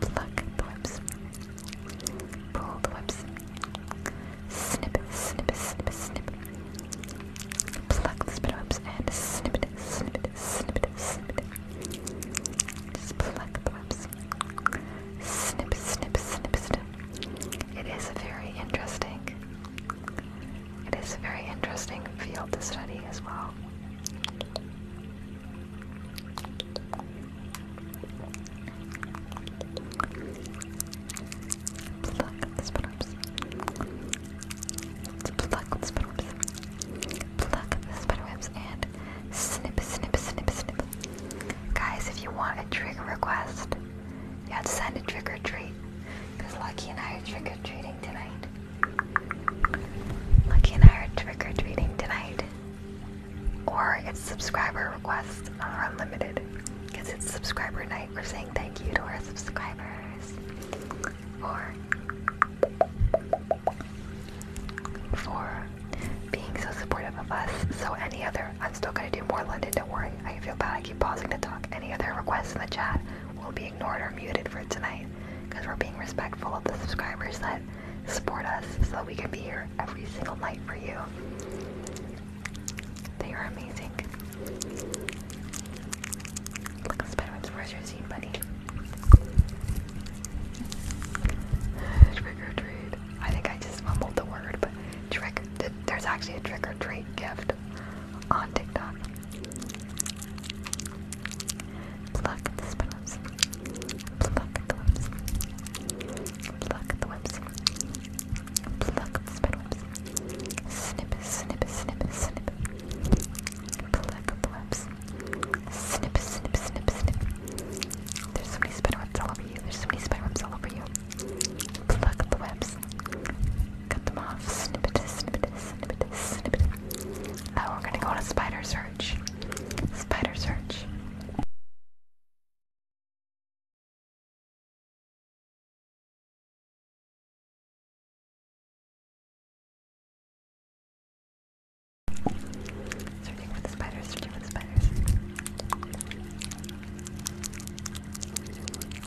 Pluck the whips. Pull the whips. Snip it, snip it, snip it, snip it. Pluck the spit and snip it, snip it, snip it, snip it. Just pluck the whips. Snip, snip, snip, snip. It is very interesting. It is a very interesting field to study as well. Pluck the spiderwebs. Pluck the spiderwebs and snip, snip, snip, snip. Guys, if you want a trigger request, you have to send a trick or treat. Because Lucky and I are trick or treating tonight. Lucky and I are trick or treating tonight. Or it's subscriber requests are unlimited. Because it's subscriber night. We're saying thank you to our subscribers. Or for being so supportive of us. So any other, I'm still gonna do more London, don't worry. I feel bad, I keep pausing to talk. Any other requests in the chat will be ignored or muted for tonight because we're being respectful of the subscribers that support us so we can be here every single night for you. They are amazing. Look at Spiderwebs, where's your zine bunny? trick or treat. I think I just mumbled the word, but trick. there's actually a trick or treat gift on TikTok. Pluck the spinner webs. Pluck the webs. Pluck the webs. Pluck the spiderwebs. Snip, snip, snip, snip. Pluck the webs. Snip, snip, snip, snip. There's so many spiderwebs all over you. There's so many spiderwebs all over you. Pluck the webs. Cut them off. Snip snip snip snip it. we're gonna go on a spider search. Spider search. Searching for the spiders, searching for the spiders.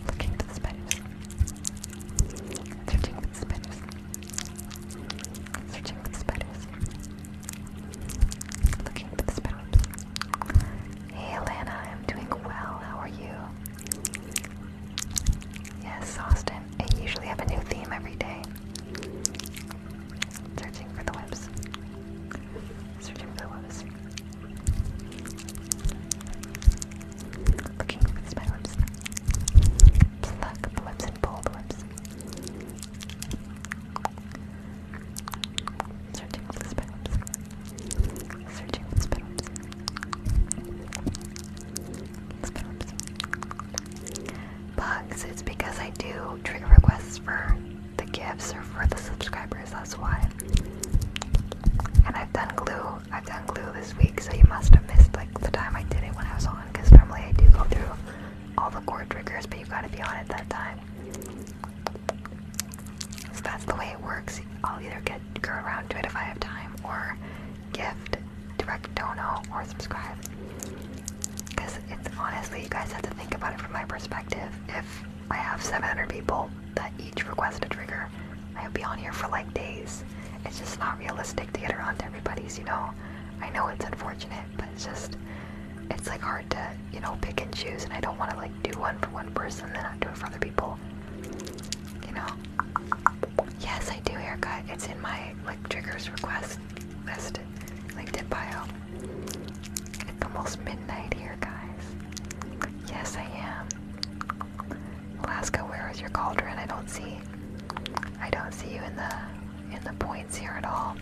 Looking for the spiders. Searching for the spiders. Searching for spiders. Looking for the spiders. Hey Alana, I'm doing well. How are you? Yes, Austin. I usually have a new theme every day. Searching for the webs. Searching for the webs. Looking for the spider webs. the webs and pull the webs. Searching all the Searching all the spin Bugs, it's because I do trigger requests for the gifts or for the subscribers, that's why. And I've done glue. I've done glue this week, so you must have missed like the time I did it when I was on, because normally I do go through all the core triggers, but you gotta be on it that time. So that's the way it works. I'll either get go around to it if I have time, or gift, direct dono, or subscribe. Because it's honestly, you guys have to think about it from my perspective. If I have 700 people that each request a trigger, i would be on here for like days. It's just not realistic to get around to everybody's, you know. I know it's unfortunate, but it's just it's like hard to you know pick and choose, and I don't want to like do one for one person and not do it for other people. You know? Yes, I do haircut. It's in my like triggers request list, LinkedIn bio. It's almost midnight here, guys. Yes, I am. Alaska, where is your cauldron? I don't see. I don't see you in the in the point points here at all.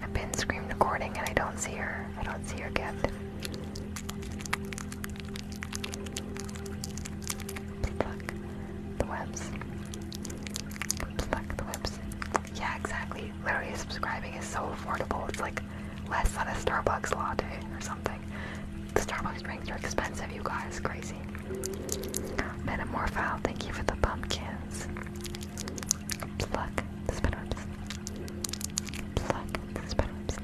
I've been screen recording and I don't see her. I don't see her get. Pluck the webs. the webs. Yeah, exactly. Literally subscribing is so affordable. It's like less than a Starbucks latte or something. The Starbucks drinks are expensive, you guys. Crazy. Metamorphile, thank you for the pumpkins. Pluck the spinnerps. Pluck the spinnerps.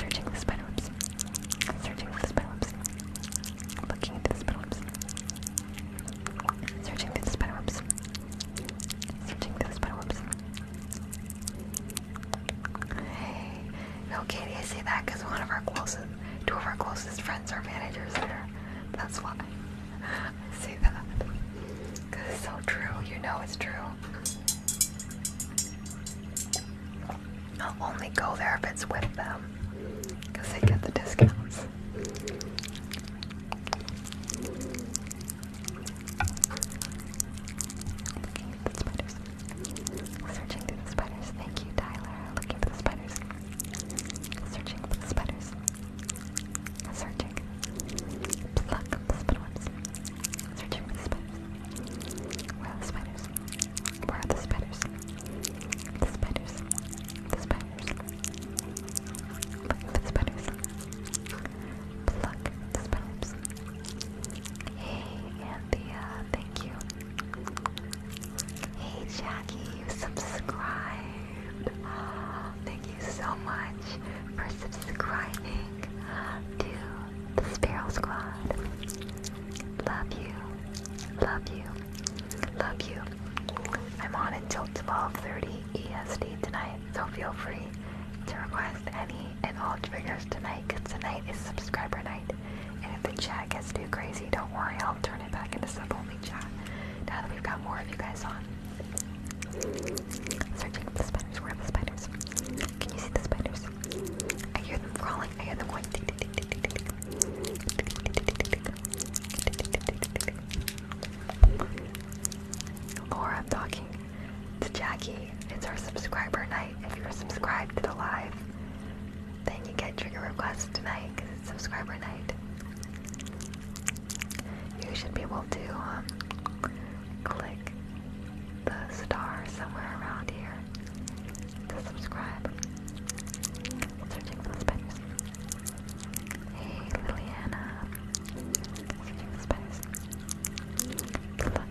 Searching the spinnerps. Searching the spinnerps. Looking into the spinnerps. Searching the spinnerps. Searching the spinnerps. Hey, no, Katie, I say that because one of our closest, two of our closest friends are managers there. That's why I say that. Because it's so true. You know it's true. I'll only go there if it's with them because they get the discounts. Looking at the spiders. Searching through the spiders. Thank you, Tyler. Looking for the spiders. Searching for the spiders. Searching. Pluck the spin ones. Searching for the spiders. Where are the spiders? Where are the spiders? The spiders. The spiders. Looking for the spiders. Pluck the spiders. Hey, Anthea, thank you. Hey, Jackie, you subscribed. thank you so much for subscribing to the Sparrow Squad. Love you, love you, love you. I'm on until 12:30 EST tonight, so feel free to request any and all triggers tonight because tonight is subscriber night. And if the chat gets too crazy, don't worry, I'll turn it back into a sub-only chat now that we've got more of you guys on. Searching for the spiders. Where are the spiders? Can you see the spiders? I hear them crawling. I hear them going. I'm talking to Jackie. It's our subscriber night if you're subscribed to the live. Then you get trigger requests tonight because it's subscriber night. You should be able to um, click the star somewhere around here to subscribe. Searching for the Hey, Liliana. Searching for the Good luck.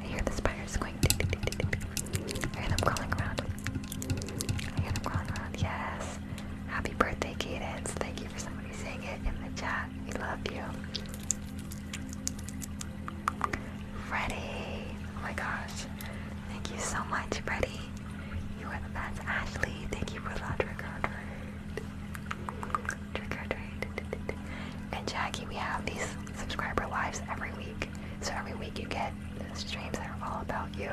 I hear the spiders going. I hear them crawling around. I hear them crawling around. Yes. Happy birthday, Cadence. Thank you for somebody saying it in the chat. We love you. Freddie. Oh my gosh. Thank you so much, Freddie. You are the best. Ashley, thank you for that record. And Jackie, we have these subscriber lives every week. So every week you get streams that are all about you.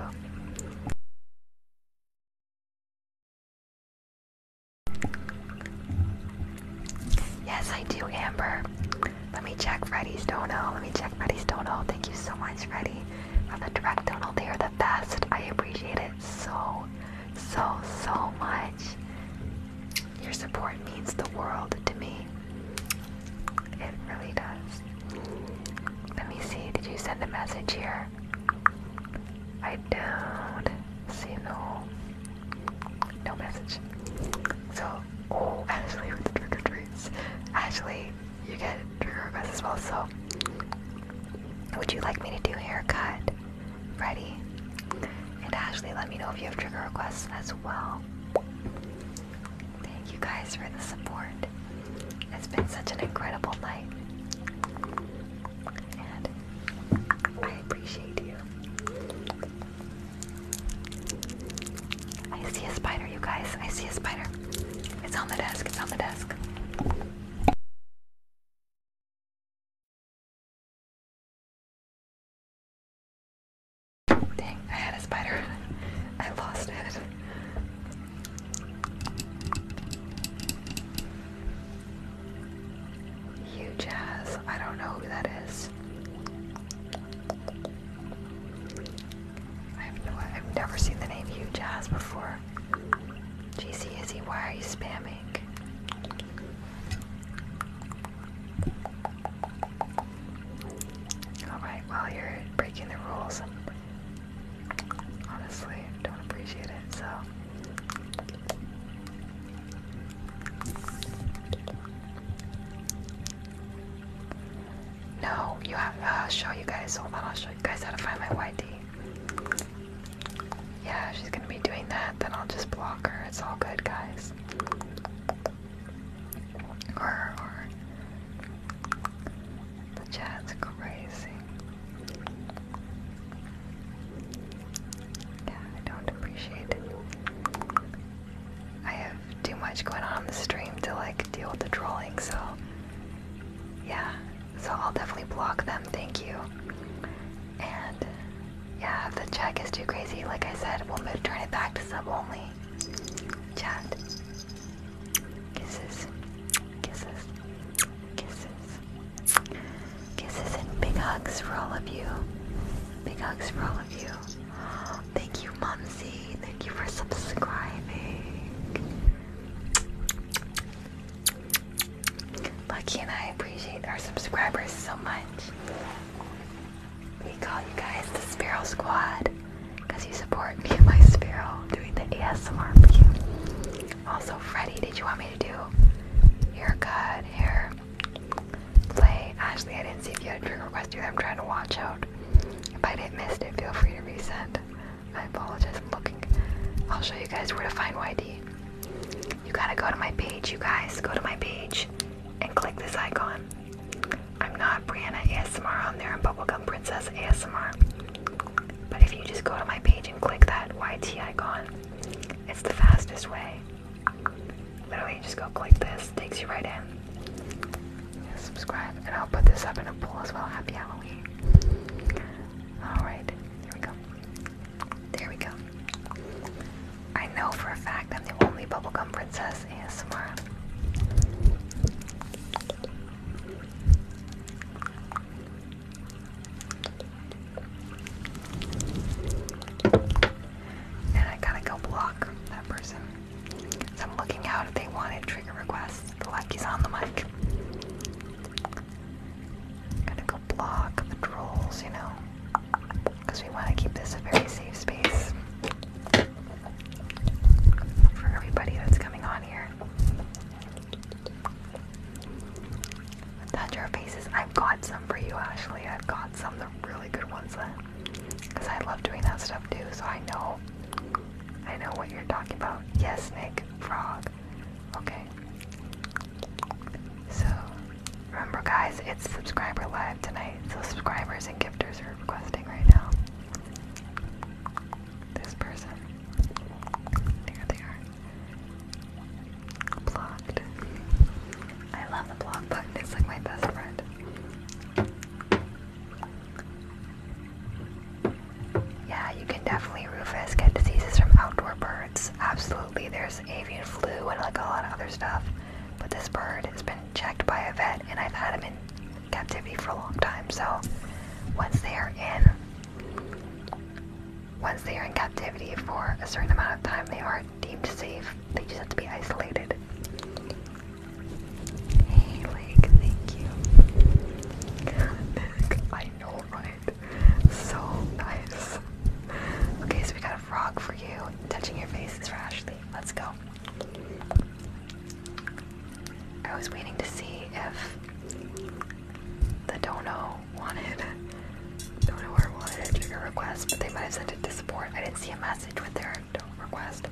Yes, I do, Amber. Let me check Freddy's Dono. Let me check Freddy's Dono. Thank you so much, Freddy, for the direct dono. They are the best. I appreciate it so, so, so much. Your support means the world to me. It really does. Let me see, did you send a message here? I don't see no no message. So oh, Ashley with the trigger treats. Ashley, you get trigger requests as well, so would you like me to do haircut? Ready? And Ashley, let me know if you have trigger requests as well. Thank you guys for the support. It's been such an incredible night. And I appreciate you. I see a spider, you guys. I see a spider. It's on the desk. It's on the desk. Dang, I had a spider. I lost it. You Jazz, I don't know who that is. I've, no, I've never seen the name you Jazz before. GC Izzy, why are you spamming? Alright, well, you're breaking the rules. Honestly, don't appreciate it, so. No, you have. Uh, I'll show you guys. Hold on, I'll show you guys how to find my YD. Yeah, she's gonna be doing that. Then I'll just block her. It's all good, guys. Horror, horror. The chat's crazy. Yeah, I don't appreciate it. I have too much going on in the stream to like deal with the drawing. so yeah. So I'll definitely block them, thank you. And yeah, if the check is too crazy, like I said, we'll move turn it back to sub only. Chat. Kisses. Kisses. Kisses. Kisses and big hugs for all of you. Big hugs for all of you. Thank you, Mumsy. Thank you for subscribing. Lucky and I appreciate our subscribers so much. We call you guys the Spiral Squad because you support me and my Spiral doing the ASMR for you. Also, Freddie, did you want me to do haircut, hair, play? Ashley, I didn't see if you had a trigger request either. I'm trying to watch out. If I didn't miss it, feel free to resend. I apologize. I'm looking. I'll show you guys where to find YD. You gotta go to my page, you guys. Go to my page and click this icon. I'm not Brianna ASMR on there, I'm Bubblegum Princess ASMR. But if you just go to my page and click that YT icon, it's the fastest way. Literally, just go click this, takes you right in. subscribe, and I'll put this up in a poll as well. Happy Halloween. Alright, there we go. There we go. I know for a fact I'm the only bubblegum princess ASMR. And I gotta go block that person. I'm looking out if they wanted trigger requests. The lucky's on the mic. Gotta go block the trolls, you know because we want to keep this a very safe space for everybody that's coming on here. Thunder faces. I've got some for you, Ashley. I've got some, the really good ones, because uh, I love doing that stuff too. So I know, I know what you're talking about. Yes, Nick. Frog. Okay. So Remember guys, it's subscriber live tonight, so subscribers and gifters are requesting right now. This person. There they are. Blocked. I love the block button, it's like my best friend. Yeah, you can definitely, Rufus, get diseases from outdoor birds. Absolutely, there's avian flu and like a lot of other stuff. But this bird has been checked by a vet and I've had them in captivity for a long time. So once they are in once they are in captivity for a certain amount of time, they are deemed safe. They just have to be isolated. Hey, Lake, thank you. I know, right? So nice. Okay, so we got a frog for you. Touching your face is rash. Let's go. I was waiting to see if the dono wanted donoer wanted a trigger request, but they might have sent it to support. I didn't see a message with their dono request.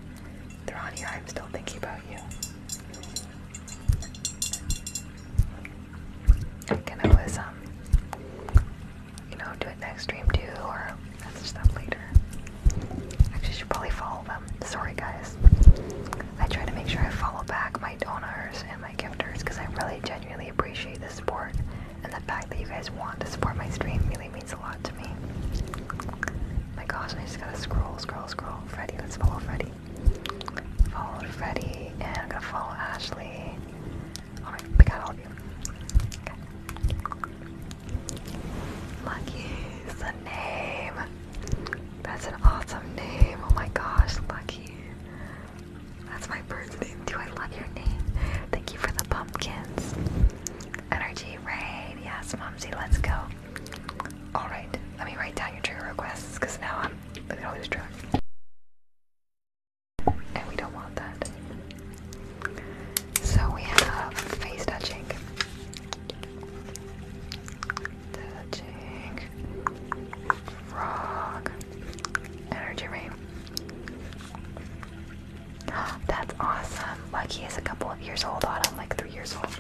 They're on here. I'm still thinking about you. And I was um you know, do it next stream too, or message them later. Actually, should probably follow them. Sorry, guys. I try to make sure I follow back my donors and my gifters because I really genuinely appreciate the support and the fact that you guys want to support my stream really means a lot to me. My gosh, I just gotta scroll, scroll, scroll. Freddy, let's follow Freddy. Followed Freddy, and I'm gonna follow Ashley. Alright, oh we got all of you. Okay. Lucky is the name. That's an awesome name. Oh my gosh, Lucky. That's my birth name too. I love your name. Thank you for the pumpkins. Energy rain. Yes, Mumsy, let's go. Alright, let me write down your trigger requests because now I'm gonna lose track. And we don't want that. So we have face touching. Touching. Frog. Energy rain. That's awesome. Lucky is a couple of years old, Autumn, like three years old.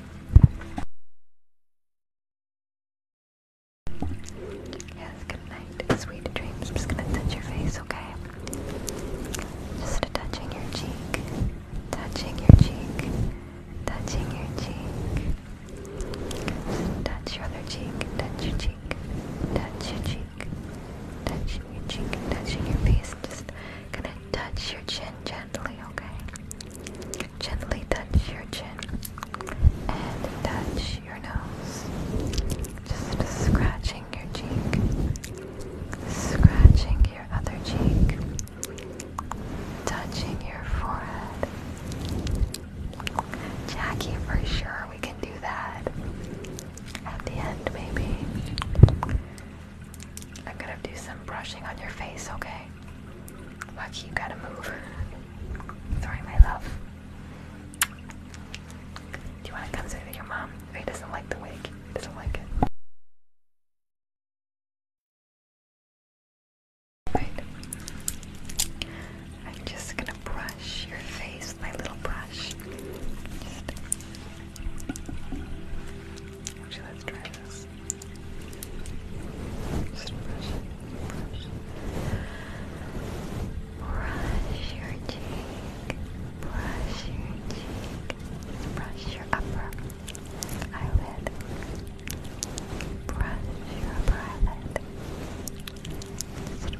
Yes, good night. Sweet dreams. just gonna touch your face, okay? Just touching your cheek, touching your cheek, touching your cheek. Just touch your other cheek, touch your cheek, touch your cheek, touching your cheek, touching your face. Just gonna touch your chin gently, okay? Gently touch your chin and touch your nose. Just scratch scratching your cheek, scratching your other cheek, touching your forehead. Jackie, for sure, we can do that. At the end, maybe. I'm gonna do some brushing on your face, okay? Lucky, you gotta move. Sorry, my love. Do you wanna come sit your mom? Or doesn't like the wig. I don't like it. Right. I'm just gonna brush your face with my little brush. Just let's try this. Just brush, brush, brush your cheek, brush your cheek, brush your upper eyelid, brush your eyelid,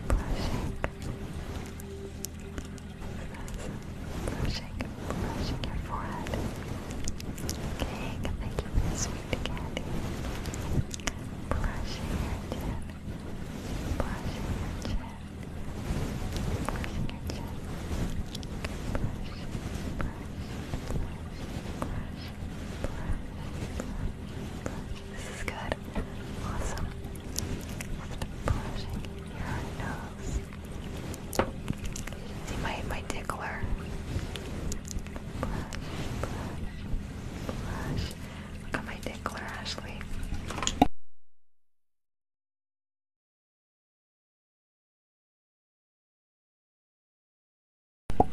brushing, brushing, brushing your forehead. Okay, thank you for the Brushing your chin, brushing your chin. This is good. Awesome. Just your nose. See my my tickler. Brush, brush, Look at my tickler, Ashley.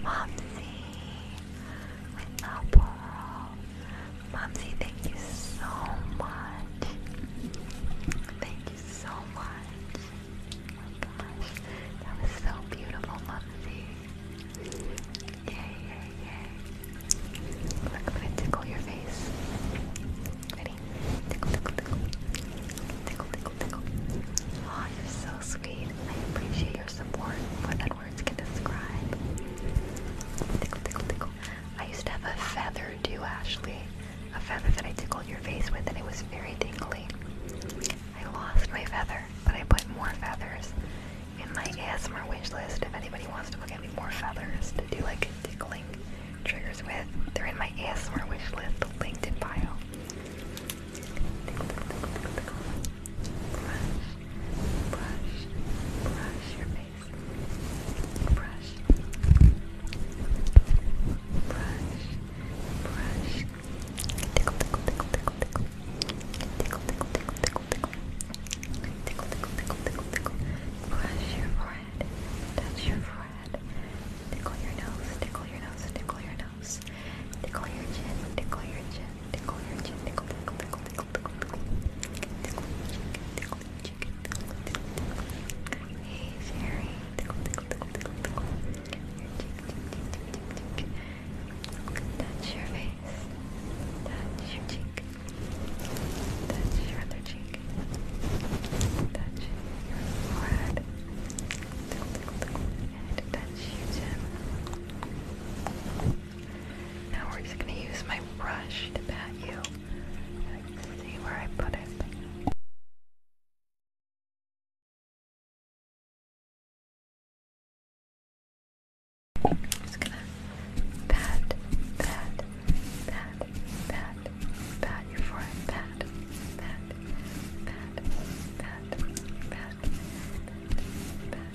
Momsy with the pearl. Momsy, thank you so much. Thank you so much. Oh my gosh, that was so beautiful, Momsy. Yay, yay, yay. I'm gonna tickle your face. Ready? Tickle, tickle, tickle. Tickle, tickle, tickle. oh, you're so sweet. I appreciate your support more words can describe. Tickle, tickle, tickle. I used to have a feather too, Ashley. A feather that I tickled your face with, and it was very tingly. I lost my feather, but I put more feathers in my ASMR wish list if anybody wants to look at me more feathers to do like tickling triggers with. They're in my ASMR wish list, linked in bio. Brush, brush, brush your face. Brush, brush, brush. Tickle, tickle, tickle, tickle, tickle. Tickle, tickle, tickle, tickle, tickle. Tickle, tickle, tickle, tickle, tickle. Brush your forehead, touch your forehead, tickle your nose, tickle your nose, tickle your nose, tickle your chin, tickle your chin, tickle your chin, tickle, tickle, tickle, tickle, tickle, tickle, tickle, tickle, tickle, tickle, Hey, Sherry, tickle, tickle, tickle, tickle, tickle, your cheek, cheek, cheek, cheek, cheek, cheek, touch your face, touch your cheek. Touch your other cheek. Touch your forehead. touch your chin. Now we're just gonna use my brush to pat you. see where I put it. just gonna pat, pat, pat, pat, pat your forehead, pat, pat, pat, pat, pat, pat, pat,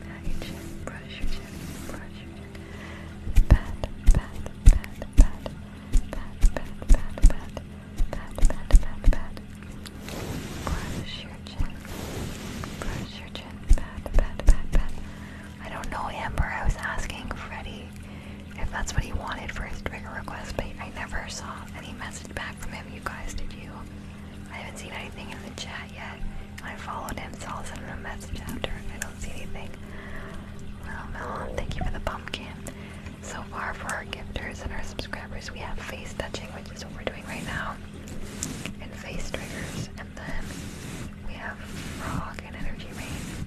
pat your chin, brush your chin, brush your chin, pat, pat, pat, pat, pat, pat, pat, pat, pat, pat, pat, pat, brush your chin, brush your chin, pat, pat, pat, pat. I don't know, Amber. I was asking Freddy if that's what he wanted for his trigger request, but I never saw any message back from him. You guys, did you? I haven't seen anything in the chat yet. I followed him, so I'll send him a message after if I don't see anything. Well, Melon, thank you for the pumpkin. So far, for our gifters and our subscribers, we have face touching, which is what we're doing right now, and face triggers, and then we have frog and energy rain.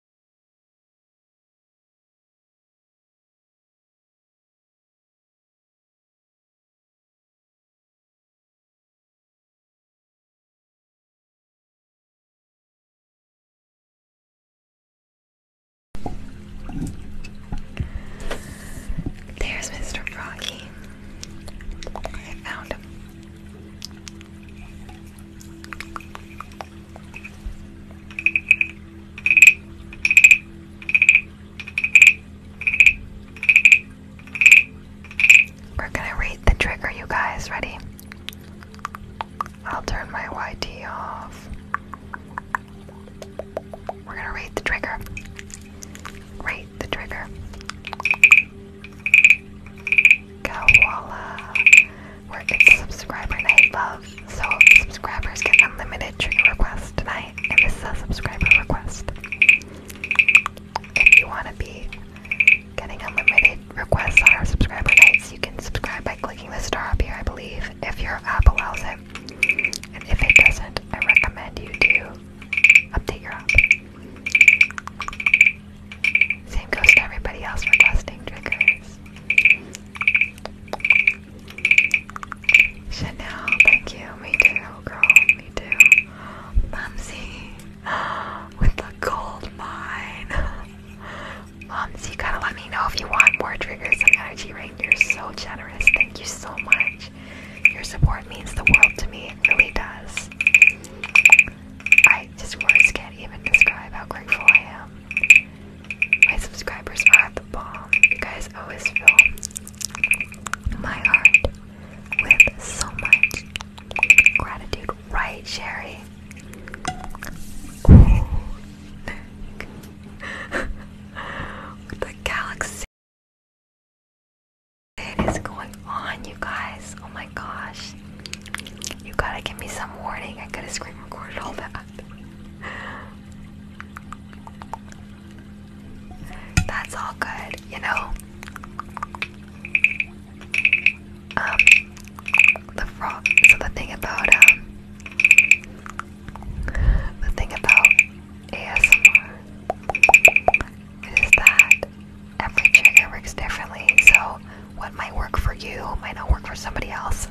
There's Mr. Froggy. I found him. We're gonna read the trigger, you guys. Ready? I'll turn my YT off. We're gonna read the trigger. Read the trigger. Koala. We're a subscriber night, love. So subscribers get unlimited trigger requests tonight, and this is a subscriber request. If you want to be getting unlimited requests on our subscriber nights, you can subscribe by clicking the star up here, I believe, if your app allows it. And if it doesn't, I recommend you do update your app. Same goes to everybody else requesting triggers. Chanel, thank you. Me too, girl. Me too. Mumsy with the gold mine. Mumsy, you gotta let me know if you want more triggers and energy rain. You're so generous. Thank you so much. Your support means the world to me. It really does. I just words can't even describe how grateful I am. My subscribers are the bomb. You guys always fill my heart with so much gratitude. Right, Sherry? the galaxy is going on, you guys? Oh my gosh. You gotta give me some warning. I could have screen recorded all that. That's all good, you know. Um, the frog. So the thing about um, the thing about ASMR is that every trigger works differently. So what might work for you might not work for somebody else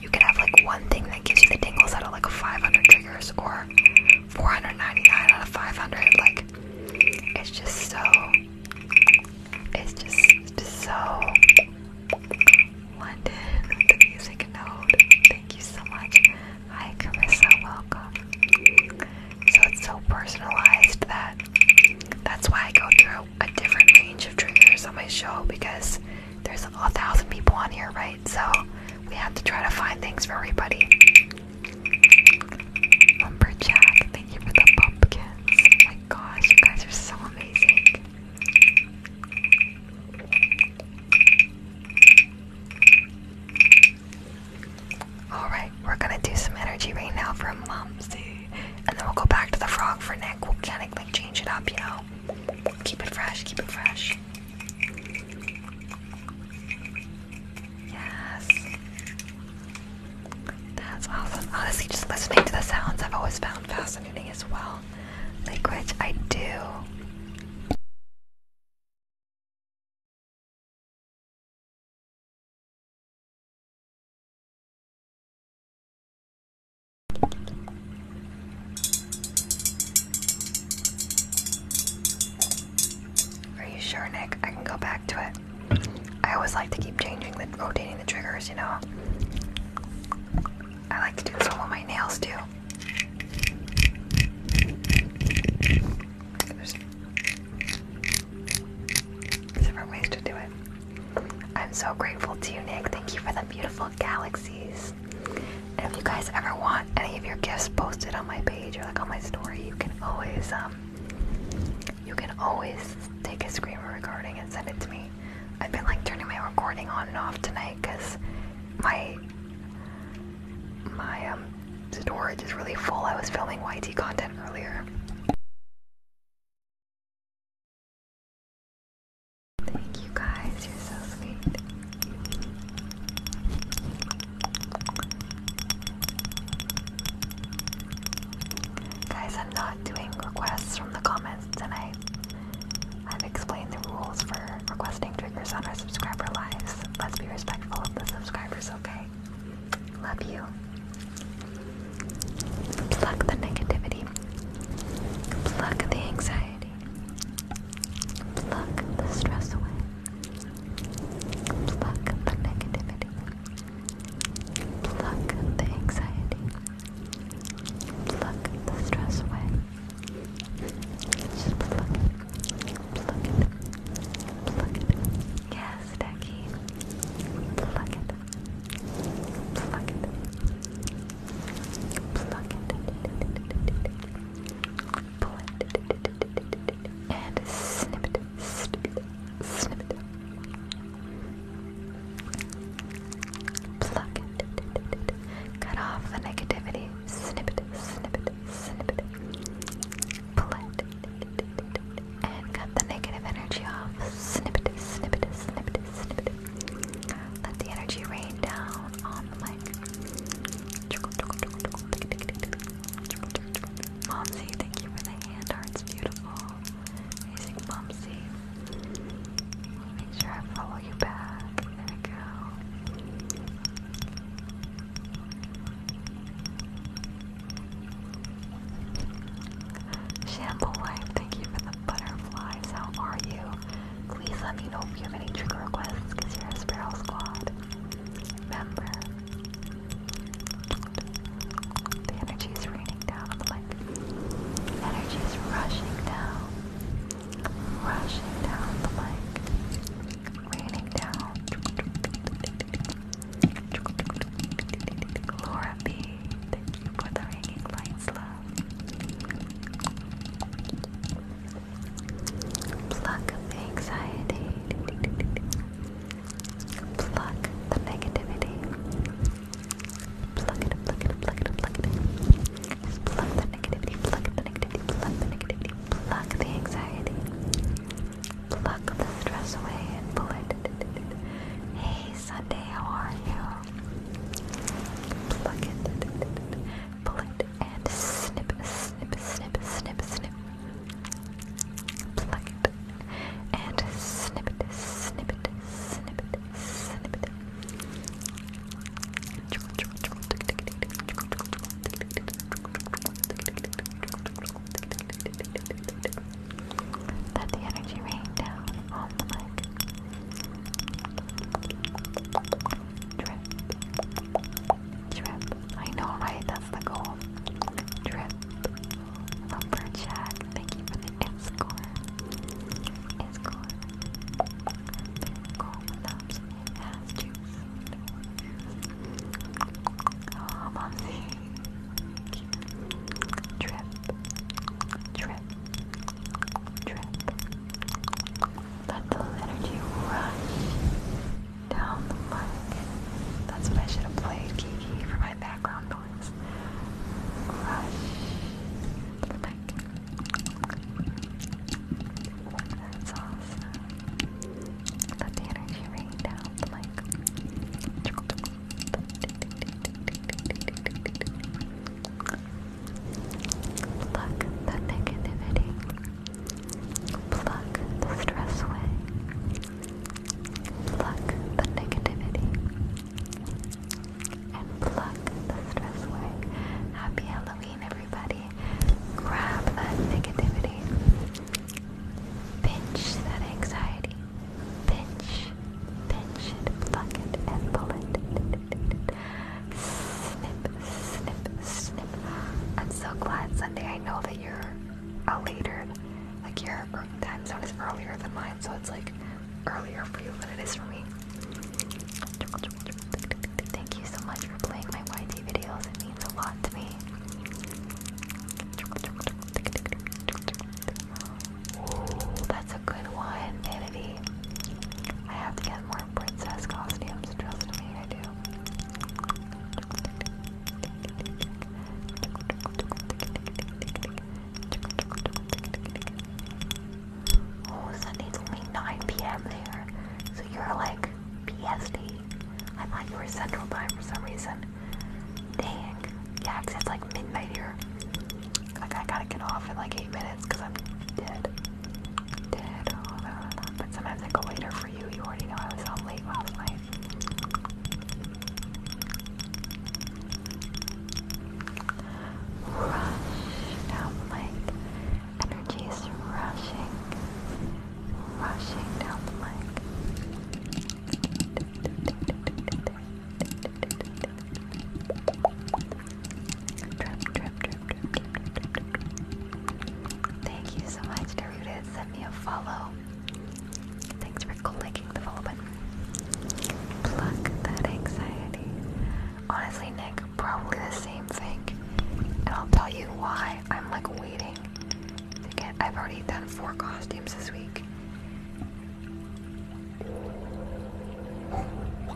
you can have like one thing that gives you the tingles out of like 500 triggers or 499 out of 500. Like, it's just so, it's just, just so London with the music note. Thank you so much. Hi, Carissa, welcome. So it's so personalized that that's why I go through a different range of triggers on my show because there's a thousand people on here, right? So we have to try to find things for everybody. Lumberjack, thank you for the pumpkins. Oh my gosh, you guys are so amazing. Alright, we're gonna do some energy right now for Mumsy. And then we'll go back to the frog for Nick. We'll kind of like change it up, you know? Keep it fresh, keep it fresh. Yes. That's awesome. Honestly, just listening to the sounds I've always found fascinating as well. Like, I do. Are you sure, Nick? I can go back to it. I always like to keep changing the rotating the triggers, you know. I like to do some of my nails too. different ways to do it. I'm so grateful to you, Nick. Thank you for the beautiful galaxies. And if you guys ever want any of your gifts posted on my page or like on my story, you can always um you can always take a screen recording and send it to me. I've been like turning my recording on and off tonight because my my um storage is really full. I was filming YT content earlier. Thank you guys, you're so sweet. Guys, I'm not doing requests from the comments tonight. I've explained the rules for requesting triggers on our subscriber lives. Let's be respectful of the subscribers, okay? Love you. Pluck the negativity Pluck the anxiety. Pluck the stress away. Pluck the negativity. Pluck the anxiety. Pluck the stress away. Just pluck it. Pluck it. Pluck it. Yes, Decky. Pluck it. Pluck it. Pluck it. Pull it. And snip it. Snip it. Snip it. Pluck it. Cut off the negativity. Snip it. Snip it. Snip it. Pull it. And cut the negative energy off. Snip it. Snip it. Snip it. Snip it. Let the energy rain down on the mic. Momsy, thank you for the hand hearts. Beautiful. Amazing Momsy. Make sure I follow you back. There we go. Shamble Wife, thank you for the Butterflies, how are you? Please let me know if you have any trigger requests because you're Squad member. The energy is raining down the mic. Energy is rushing down. Rushing down the mic. Raining down. Laura B, thank you for the ringing lights, love. Pluck the anxiety. Pluck the negativity. Pluck it, pluck it, pluck it, pluck it. pluck the negativity, pluck the negativity, pluck the negativity, pluck the anxiety. Pluck the stress away and pull it. Hey Sunday, how are you? Pluck it, pull it, and snip, snip, snip, snip, snip. Pluck it, and snip it, snip it, snip it, snip it. Let the energy rain down on the mic. Drip. Drip. I know, right? That's the goal. Drip. Lumberjack. Thank you for the escort. Escort. Cool thumbs. Has juice. Oh, mommy. Drip. Drip. Drip. Let the energy rush down the mic. That's what I should have played, Kiki, for my background noise. Rush the mic. Let the energy rain down the mic. Pluck the negativity. Pluck the stress away. Pluck the negativity. And pluck the stress away. Happy Halloween, everybody. Grab that negativity. Pinch that anxiety. Pinch, pinch pluck it, and pull it. Snip, snip, snip. I'm so glad, Sunday. I know that you're a later, like your time zone is earlier than mine, so it's like earlier for you than it is for me. Thank you so much for playing my YT videos. It means a lot to me. Ooh, that's a good one. I have to get more princess costumes, trust me, I do. Oh, it's only 9 p.m. there, so you're like PST. I am like you were Central Time for some reason. Dang. Yeah, it's like midnight here. Like, I gotta get off in like 8 minutes because I'm dead. Dead oh, But sometimes I go later for you. You already know I was out late last night. Rush. Now the mic. Energy is rushing. Rushing down the mic. Thank you so much, Daruda. Send me a follow. Thanks for clicking the follow button. Pluck that anxiety. Honestly, Nick, probably the same thing. And I'll tell you why I'm like waiting to I've already done four costumes this week.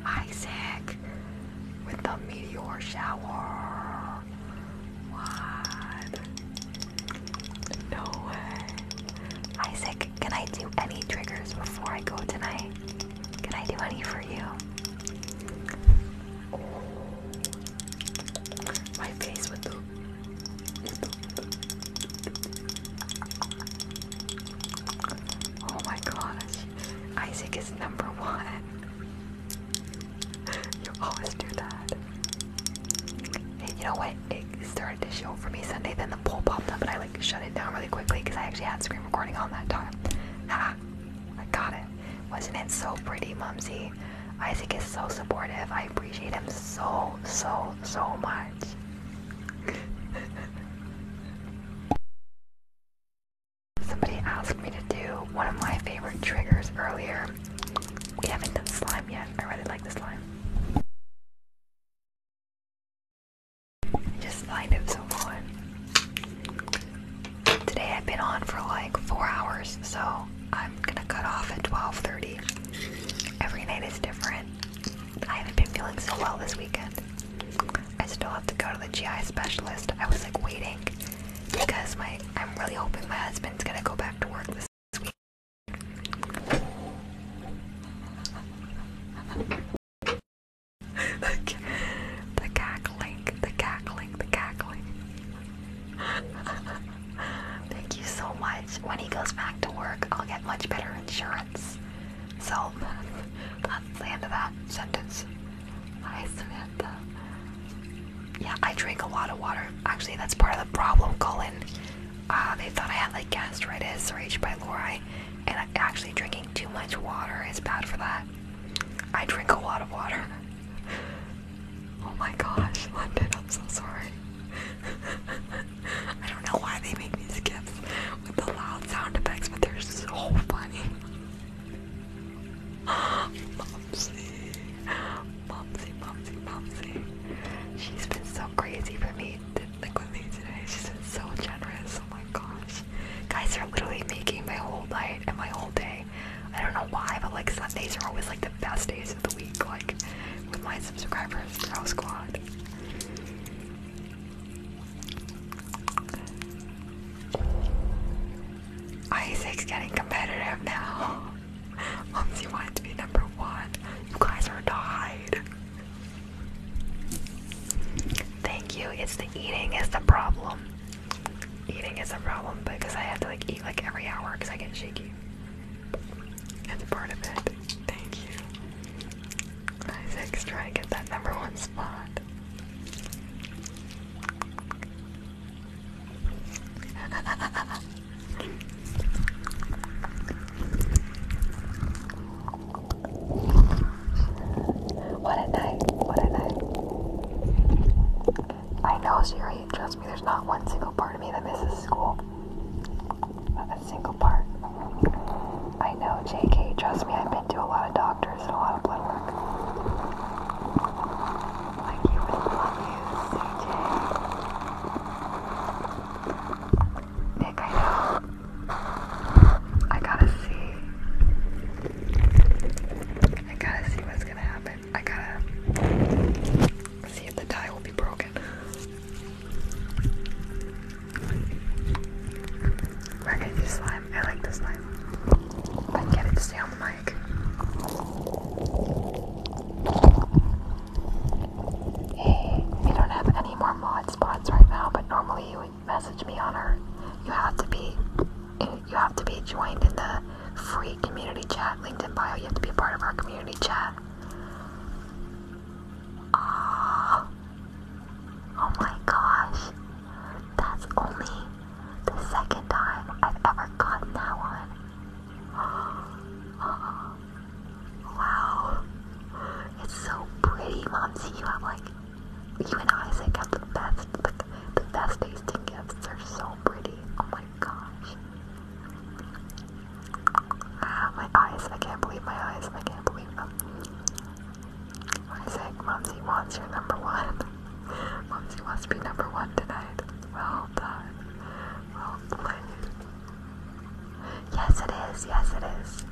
Isaac! with the meteor shower. What? No way. Isaac, can I do any triggers before I go tonight? Can I do any for you? My face with the. Oh my gosh, Isaac is number one. You always do that. you know what? It started to show for me Sunday, then the poll popped up, and I like shut it down really quickly because I actually had screen recording on that time. Ha! I got it. Wasn't it so pretty, Mumsy? Isaac is so supportive. I appreciate him so, so, so much. Somebody asked me to do one of my favorite triggers earlier. We haven't done slime yet. I really like the slime. I just find it so fun. Today I've been on for like four hours, so I'm gonna cut off at 12:30. Every night is different. I haven't been feeling so well this weekend. I still have to go to the GI specialist. I was like waiting because my I'm really hoping my husband's gonna go back to work this week. the, the cackling, the cackling, the cackling. Thank you so much. When he goes back to work, I'll get much better insurance. So That's the end of that sentence. Hi, Samantha. Yeah, I drink a lot of water. Actually, that's part of the problem, Colin. Uh, they thought I had like gastritis or H. Lori, and actually drinking too much water is bad for that. I drink a lot of water. Oh my gosh, London, I'm so sorry. I don't know why they make these gifs with the loud sound effects, but they're so funny. Mumsy. Mumsy, Mumsy, Mumsy. She's been so crazy for me, like with me today. She's been so generous. Oh my gosh. Guys are literally making my whole night and my whole day. I don't know why, but like Sundays are always like the best days of the week, like with my subscribers, Girl Squad. Isaac's getting competitive now. Mumsy wanted to be number one. You guys are died. Thank you. It's the eating is the problem. Eating is a problem because I have to like eat like every hour because I get shaky. That's part of it. Thank you. Isaac's trying to get that number one spot. what a night, what a night. I know, Siri, trust me, there's not one single part of me that misses school. Not a single part. I know, JK. Trust me, I've been to a lot of doctors and a lot of blood work. Like, you would love you, CJ. Nick, I know. I gotta see. I gotta see what's gonna happen. I gotta see if the tie will be broken. Where can I slime? I like this slime. I get it to stay on the mic. Hey, we don't have any more mod spots right now, but normally you would message me on our. You have to be. You have to be joined in the free community chat LinkedIn bio. You have to be a part of our community chat. Oh my gosh! That's only the second time I've ever gotten that one. wow. It's so pretty, Momsy. You have like, you and Isaac have the best, the best tasting gifts. They're so pretty. Oh my gosh. Ah, my eyes. I can't believe my eyes. I can't believe them. I wants your number one. Mumsy wants to be number one tonight. Well done. Well played. Yes, it is. Yes, it is.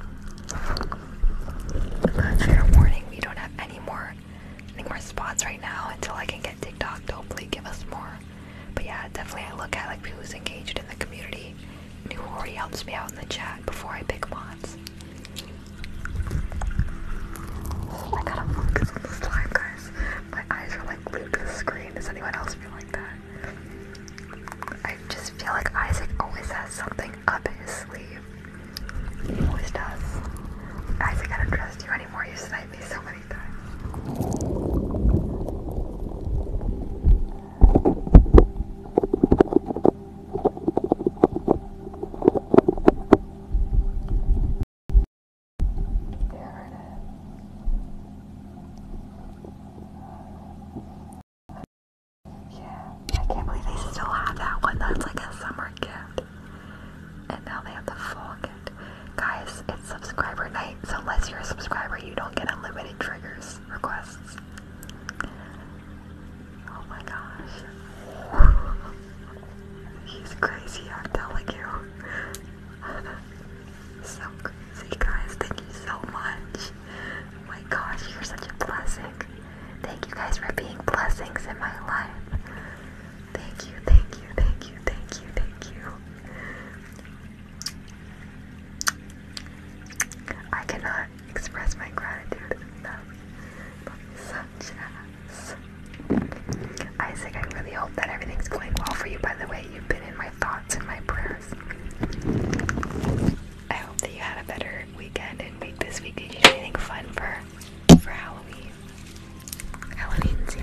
Fair warning, we don't have any more, any more spots right now until I can get TikTok to hopefully give us more. But yeah, definitely I look at like who's engaged in the community. who already helps me out in the chat before I pick mods. I gotta focus on this time, guys. My eyes are like glued to the screen. Does anyone else feel like that? I just feel like Isaac always has something up his sleeve. He always does. Isaac, I don't trust you anymore. You sniped me so many times. There it is. Yeah, I can't believe they still have that one. That's like a summer gift. And now they have the fall gift. Guys, it's subscriber night, so unless you're a subscriber, you don't get unlimited triggers requests. Oh my gosh. He's crazy, I'm telling you. so crazy, guys. Thank you so much. Oh my gosh, you're such a blessing. Thank you guys for being blessings in my life. Thank you, thank you, thank you, thank you, thank you. I cannot express my gratitude enough for such ass. Isaac, I really hope that everything's going well for you, by the way. You've been in my thoughts and my prayers. I hope that you had a better weekend and week this week. Did you do anything fun for for Halloween? Halloween's Eve.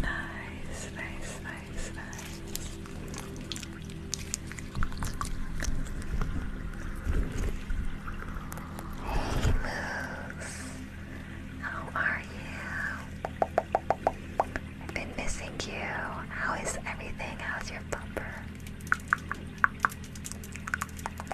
Nice, nice, nice, nice. Hey Moose, how are you? I've been missing you. How is everything? How's your bumper?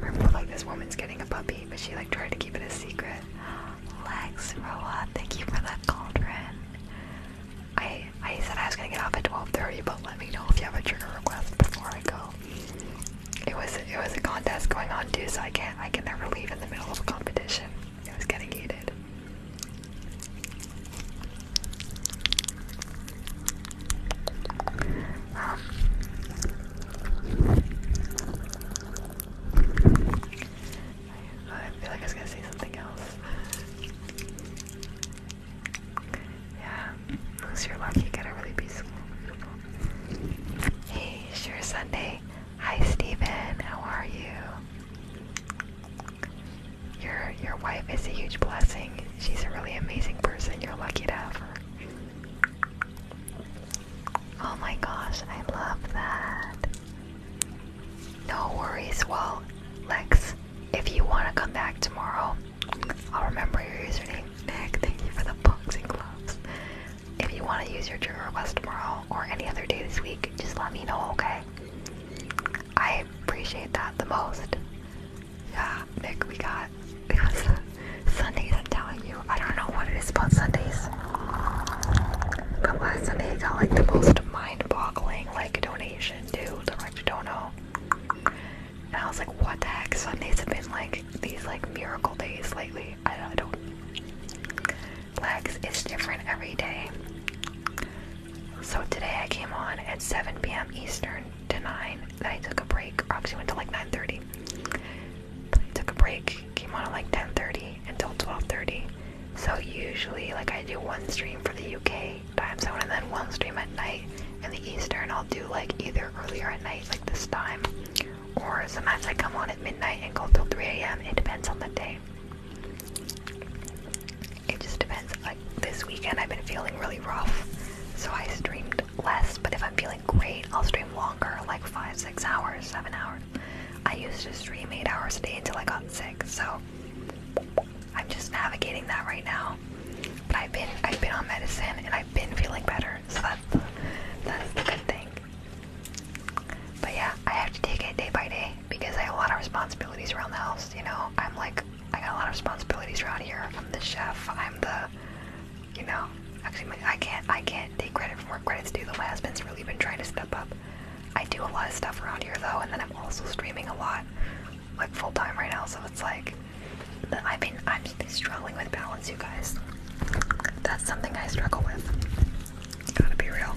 Remember, like this woman's getting a puppy, but she like tried to keep it a secret. Lex Roa, thank you for that cauldron. I I said I was gonna get off at 12:30, but let me know if you have a trigger request before I go. It was it was a contest going on too, so I can't I can never leave in the middle of a competition. It was getting heated. I feel like I was gonna say something else. Yeah, unless you lucky, you a really peaceful, beautiful. Hey, sure Sunday. Hi, Stephen. How are you? Your your wife is a huge blessing. She's a really amazing person. You're lucky to have her. Oh my gosh, I love that. No worries. Well, Lex, if you want to come back tomorrow, I'll remember your username. Nick, thank you for the boxing gloves. If you want to use your trigger request tomorrow or any other day this week, just let me know, okay? I appreciate that the most. Yeah, Nick, we got it was Sundays. I'm telling you, I don't know what it is about Sundays, but last Sunday I got like the most mind-boggling like donation too. I'm like, And I was like, what the heck? Sundays have been like these like miracle days lately. I, don't. Legs is different every day. So today I came on at 7 p.m. Eastern to 9 I took a break. Or actually went to like 9:30. I took a break. Came on at like 10:30 until 12:30. So usually, like I do one stream for the UK time zone and then one stream at night in the Eastern. I'll do like either earlier at night, like this time, or sometimes I come on at midnight and go till 3 a.m. It depends on the day. It just depends. Like this weekend, I've been feeling really rough, so I streamed less, but if I'm feeling great, I'll stream longer, like five, six hours, seven hours. I used to stream eight hours a day until I got sick, so I'm just navigating that right now. But I've been I've been on medicine and I've been feeling better, so that's the, that's the good thing. But yeah, I have to take it day by day because I have a lot of responsibilities around the house. You know, I'm like I got a lot of responsibilities around here. I'm the chef. I'm the you know, actually, I can't I can't take credit for what credits due. Though my husband's really been trying to step up. I do a lot of stuff around here though, and then I'm also streaming a lot, like full time right now. So it's like, i mean, I'm struggling with balance, you guys. That's something I struggle with. Gotta be real.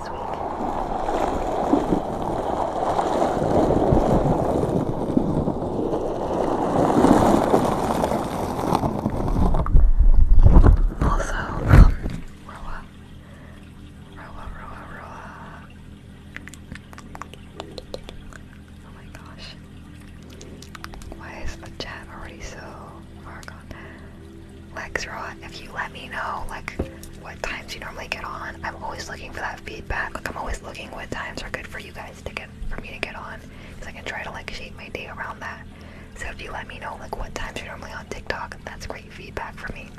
this week. Also, um, Roa. Roa, Roa, Roa. Oh my gosh. Why is the chat already so far gone? Lex, raw. if you let me know like what times you normally get on, I'm always looking for that feedback. Like I'm always looking what times are good for you guys to get for me to get on, because I can try to like shape my day around that. So if you let me know like what times you're normally on TikTok, that's great feedback for me.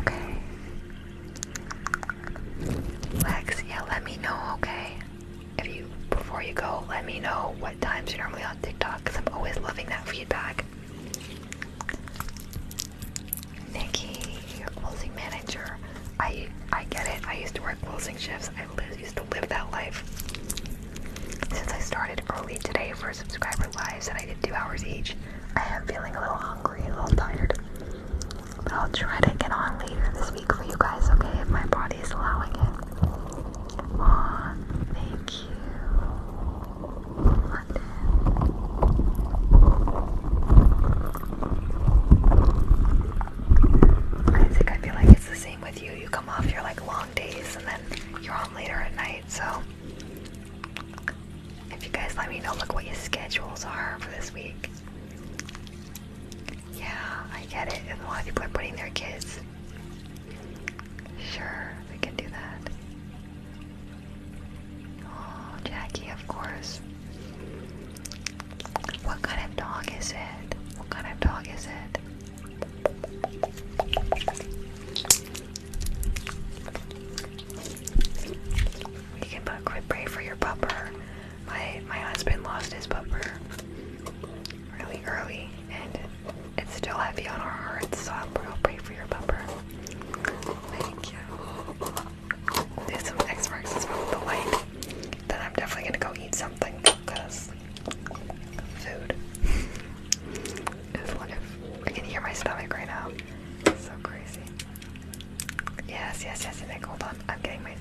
okay. Lex, yeah, let me know, okay? If you before you go, let me know at times you're normally on TikTok because I'm always loving that feedback. Nikki, your closing manager. I I get it. I used to work closing shifts. I used to live that life. Since I started early today for subscriber lives and I did two hours each, I am feeling a little hungry a little tired. But I'll try to get on later this week for you guys, okay? If my body is allowing it. Aw, thank I think I feel like it's the same with you. You come off your like long days and then you're on later at night. So if you guys let me know, look what your schedules are for this week. Yeah, I get it. A lot of people are putting their kids Sure, we can do that. Oh, Jackie, of course. What kind of dog is it? What kind of dog is it? You can put quit pray for your pupper. My my husband lost his pupper really early and it's still heavy on our hearts, so I'll, gonna pray for your bumper. Thank you. There's X marks as well the light. Then I'm definitely gonna go eat something because food is wonderful. I can hear my stomach right now. It's so crazy. Yes, yes, yes, Nick, hold on. I'm getting my.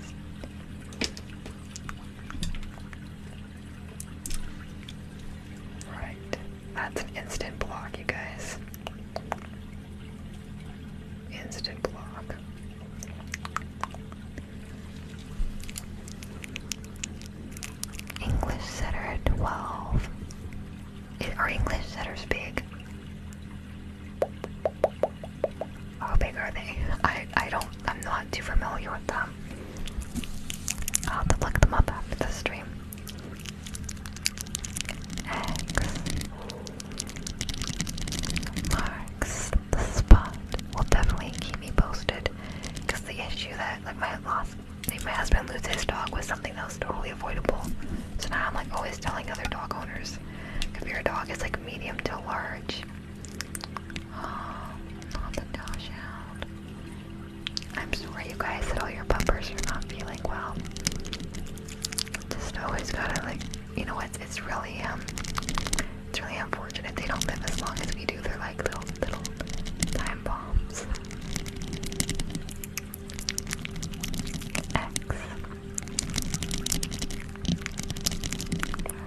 Right. That's an instant block, you guys. Instant block. English setter 12. are English setters big? How big are they? I I don't I'm not too familiar with them. I'll have to look them up after the stream. X marks the spot. Will definitely keep me posted. Cause the issue that like my lost, my husband lose his dog was something that totally avoidable. So now I'm like always telling other dog owners, if your dog is like medium to large, I'm sorry you guys that all your puppers are not feeling well. Just always gotta like, you know what, it's really, um, it's really unfortunate they don't live as long as we do. They're like little, little time bombs.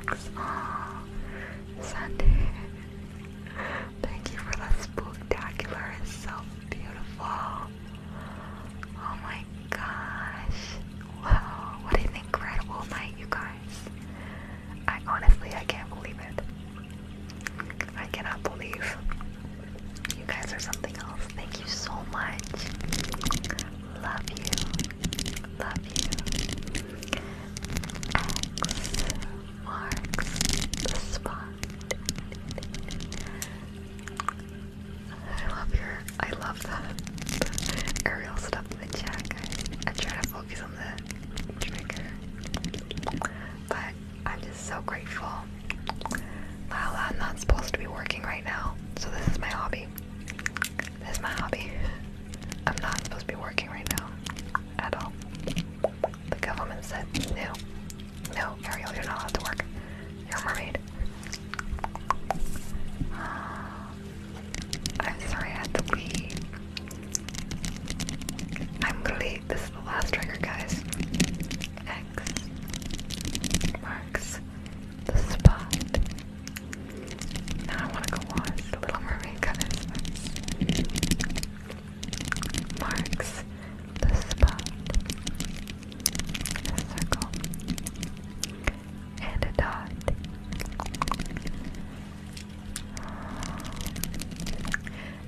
X. X. Ah. Sunday. Thank you for the spectacular. It's so beautiful. Oh my gosh. Wow. What an incredible night, you guys. I honestly, I can't believe it. I cannot believe you guys are something else. Thank you so much. Love you. Love you. X marks the spot. I love your, I love the aerial stuff in the chat, I try to focus on the trigger, but I'm just so grateful. Lala, I'm not supposed to be working right now, so this is my hobby. This is my hobby. I'm not supposed to be working right now at all the government said, no, no, Ariel, you're not allowed to work. You're a mermaid. I'm sorry I had to leave. I'm literally, this is the last trigger, guys. X marks the spot. Now I want to go watch Little Mermaid, guys marks the spot a circle and a dot.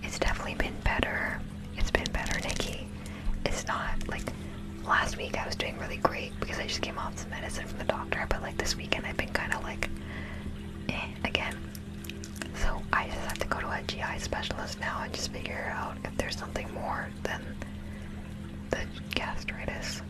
It's definitely been better. It's been better, Nikki. It's not like last week I was doing really great because I just came off some medicine from the doctor, but like this weekend I've been kind of like eh, again. So I just have to go to a GI specialist now and just figure out if there's something more than the gastritis.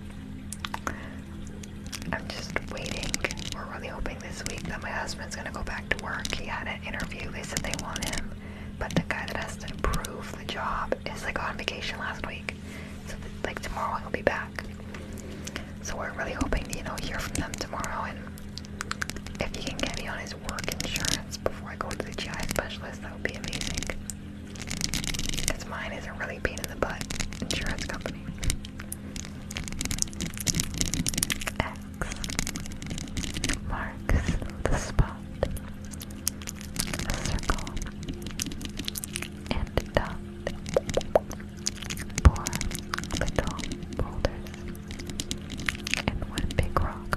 I'm just waiting. We're really hoping this week that my husband's gonna go back to work. He had an interview, they said they want him. But the guy that has to approve the job is like on vacation last week. So like tomorrow he'll be back. So we're really hoping to, you know, hear from them tomorrow and if you can get me on his work insurance before I go to the GI specialist, that would be amazing. Because mine is a really pain in the butt insurance company. X marks the spot. A circle and a dot four little boulders, and one big rock.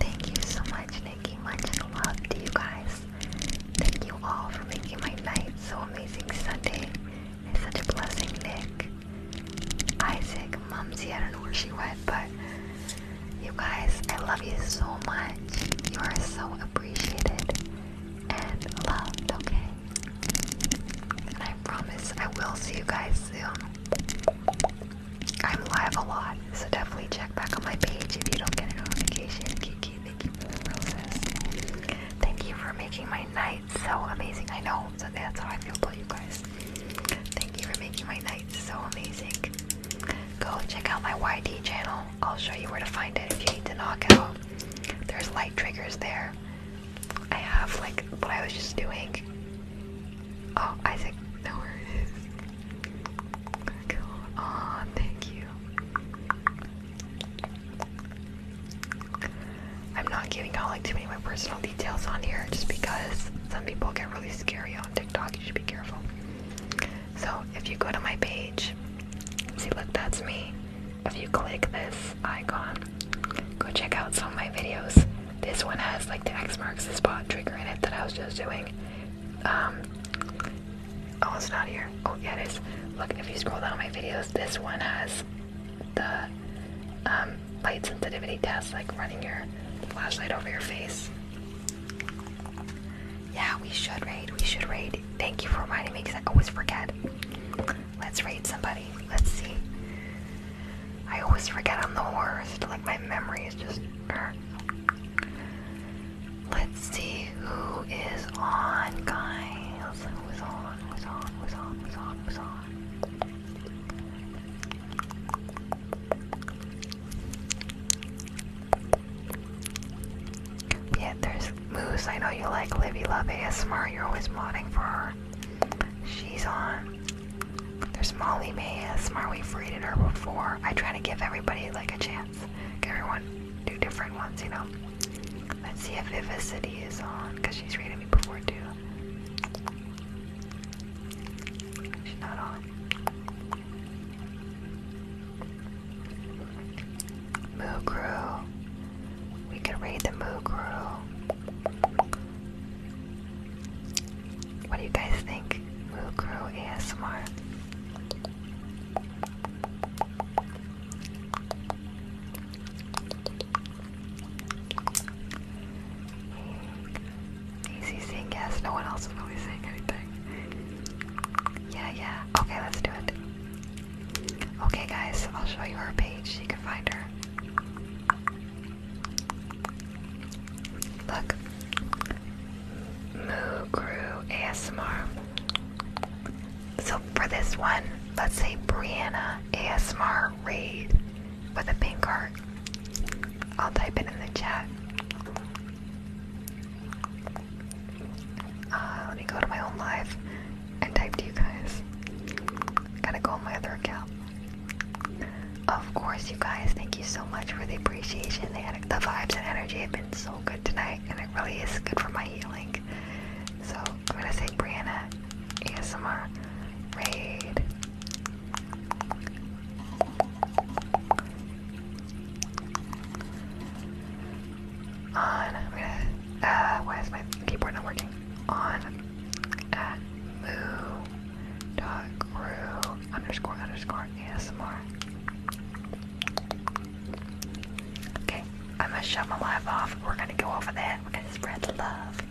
Thank you so much, Nikki. Much love to you guys. Thank you all for making my night so amazing Sunday. It's such a blessing, Nick. Isaac, Mumsy, I don't know where she went, but you guys, I love you so much. You are so appreciated and loved, okay? And I promise I will see you guys soon. I'm live a lot, so definitely check back on my page if you don't get a notification. Kiki, thank you for the roses. Thank you for making my night so amazing. I know, so that's how I feel about you guys. Thank you for making my night so amazing. Go check out my YT channel. I'll show you where to find it if you need to knock out. There's light triggers there. I have like what I was just doing. Oh, Isaac, know where it is. Oh, thank you. I'm not giving out like too many of my personal details on here just because some people get really scary on TikTok. You should be careful. So if you go to my page, see, look, that's me if you click this icon, go check out some of my videos. This one has like the X marks the spot trigger in it that I was just doing. Um, oh, it's not here. Oh, yeah, it is. Look, if you scroll down my videos, this one has the um, light sensitivity test, like running your flashlight over your face. Yeah, we should raid. We should raid. Thank you for reminding me because I always forget. Let's raid somebody. Let's see. I always forget I'm the worst. Like, my memory is just. Er. Let's see who is on, guys. Who's on? Who's on? Who's on? Who's on? Who's on? Yeah, there's Moose, I know you like Livy Love Smart, You're always modding for her. She's on. There's Molly May ASMR. We've her before. I try to give everybody like a chance. Give everyone do different ones, you know. Let's see if Vivacity is on, because she's rated me before too. She's not on. Moo Crew. We can read the Moogru. What do you guys think? Moogru ASMR. Easy saying yes, no one else is really saying anything. Yeah, yeah. Okay, let's do it. Okay, guys, I'll show you her page. You can find her. Look, Moo ASMR. So for this one, let's say Brianna ASMR raid with a pink heart. I'll type it in the chat. Uh, let me go to my own live. I typed you guys. Gotta go on my other account. Of course, you guys, thank you so much for the appreciation. The, vibes and energy have been so good tonight, and it really is good for my healing. So, I'm gonna say Brianna ASMR Raid. On, i uh, my keyboard not working? on at dot crew underscore underscore ASMR. Okay, I'm gonna shove my life off. We're gonna go over that. We're gonna spread love.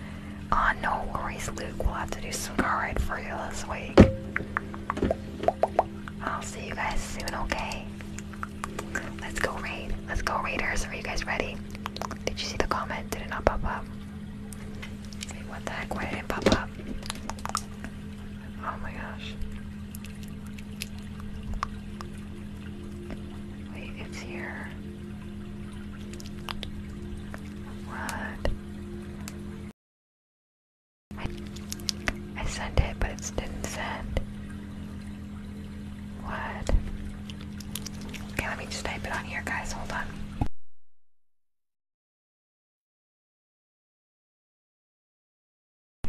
Oh, no worries, Luke. We'll have to do some car ride for you this week. I'll see you guys soon, okay? Let's go raid. Let's go raiders. Are you guys ready? Did you see the comment? Did it not pop up? what the heck? Why did it pop up? Oh my gosh. Wait, it's here. What? I sent it, but it didn't send. What? Okay, let me just type it on here, guys. Hold on.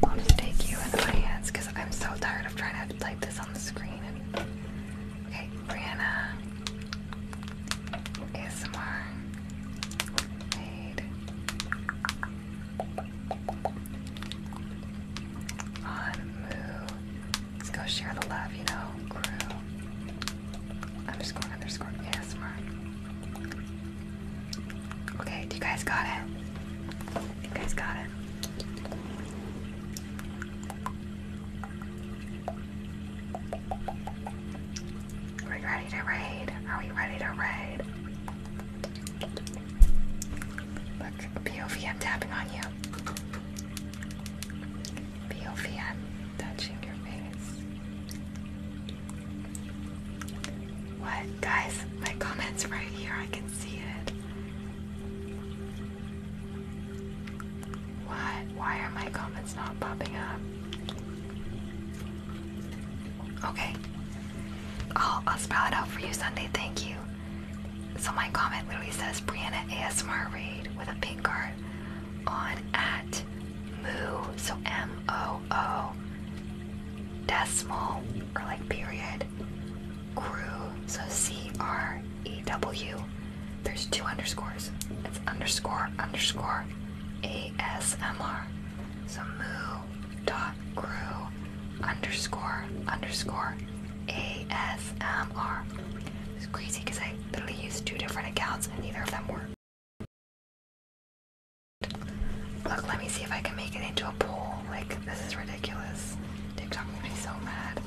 I'll just take you in my hands because I'm so tired of trying to type this on the screen. And... Okay, Brianna ASMR made on Moo Let's go share the love, you know, crew. Underscore, underscore, ASMR. Okay, you guys got it? You guys got it? Are we ready to raid? Are we ready to raid? Look, POV, I'm tapping on you. POV, I'm touching your face. What? Guys, my comment's right here. I can see it. What? Why are my comments not popping up? Okay. I'll, I'll spell it out for you, Sunday. Thank you. So my comment literally says Brianna ASMR raid with a pink card on at moo so M O O decimal or like period crew so C R E W. There's two underscores. It's underscore underscore ASMR. So moo dot crew underscore underscore ASMR. It's crazy because I literally used two different accounts and neither of them worked. Look, let me see if I can make it into a poll. Like, this is ridiculous. TikTok made be so mad.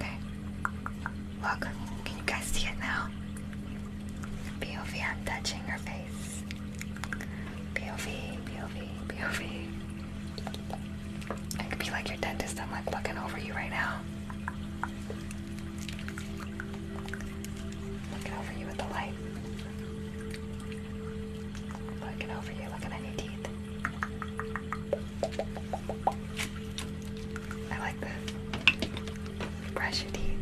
Okay. Look, can you guys see it now? POV, I'm touching your face. POV, POV, POV. I could be like your dentist, I'm like looking over you right now. Looking over you with the light. Looking over you, looking at your teeth. I like this. brush your teeth.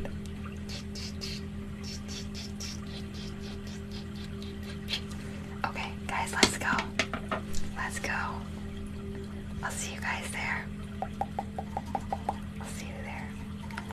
Okay, guys, let's go. Let's go. I'll see you guys there. I'll see you there.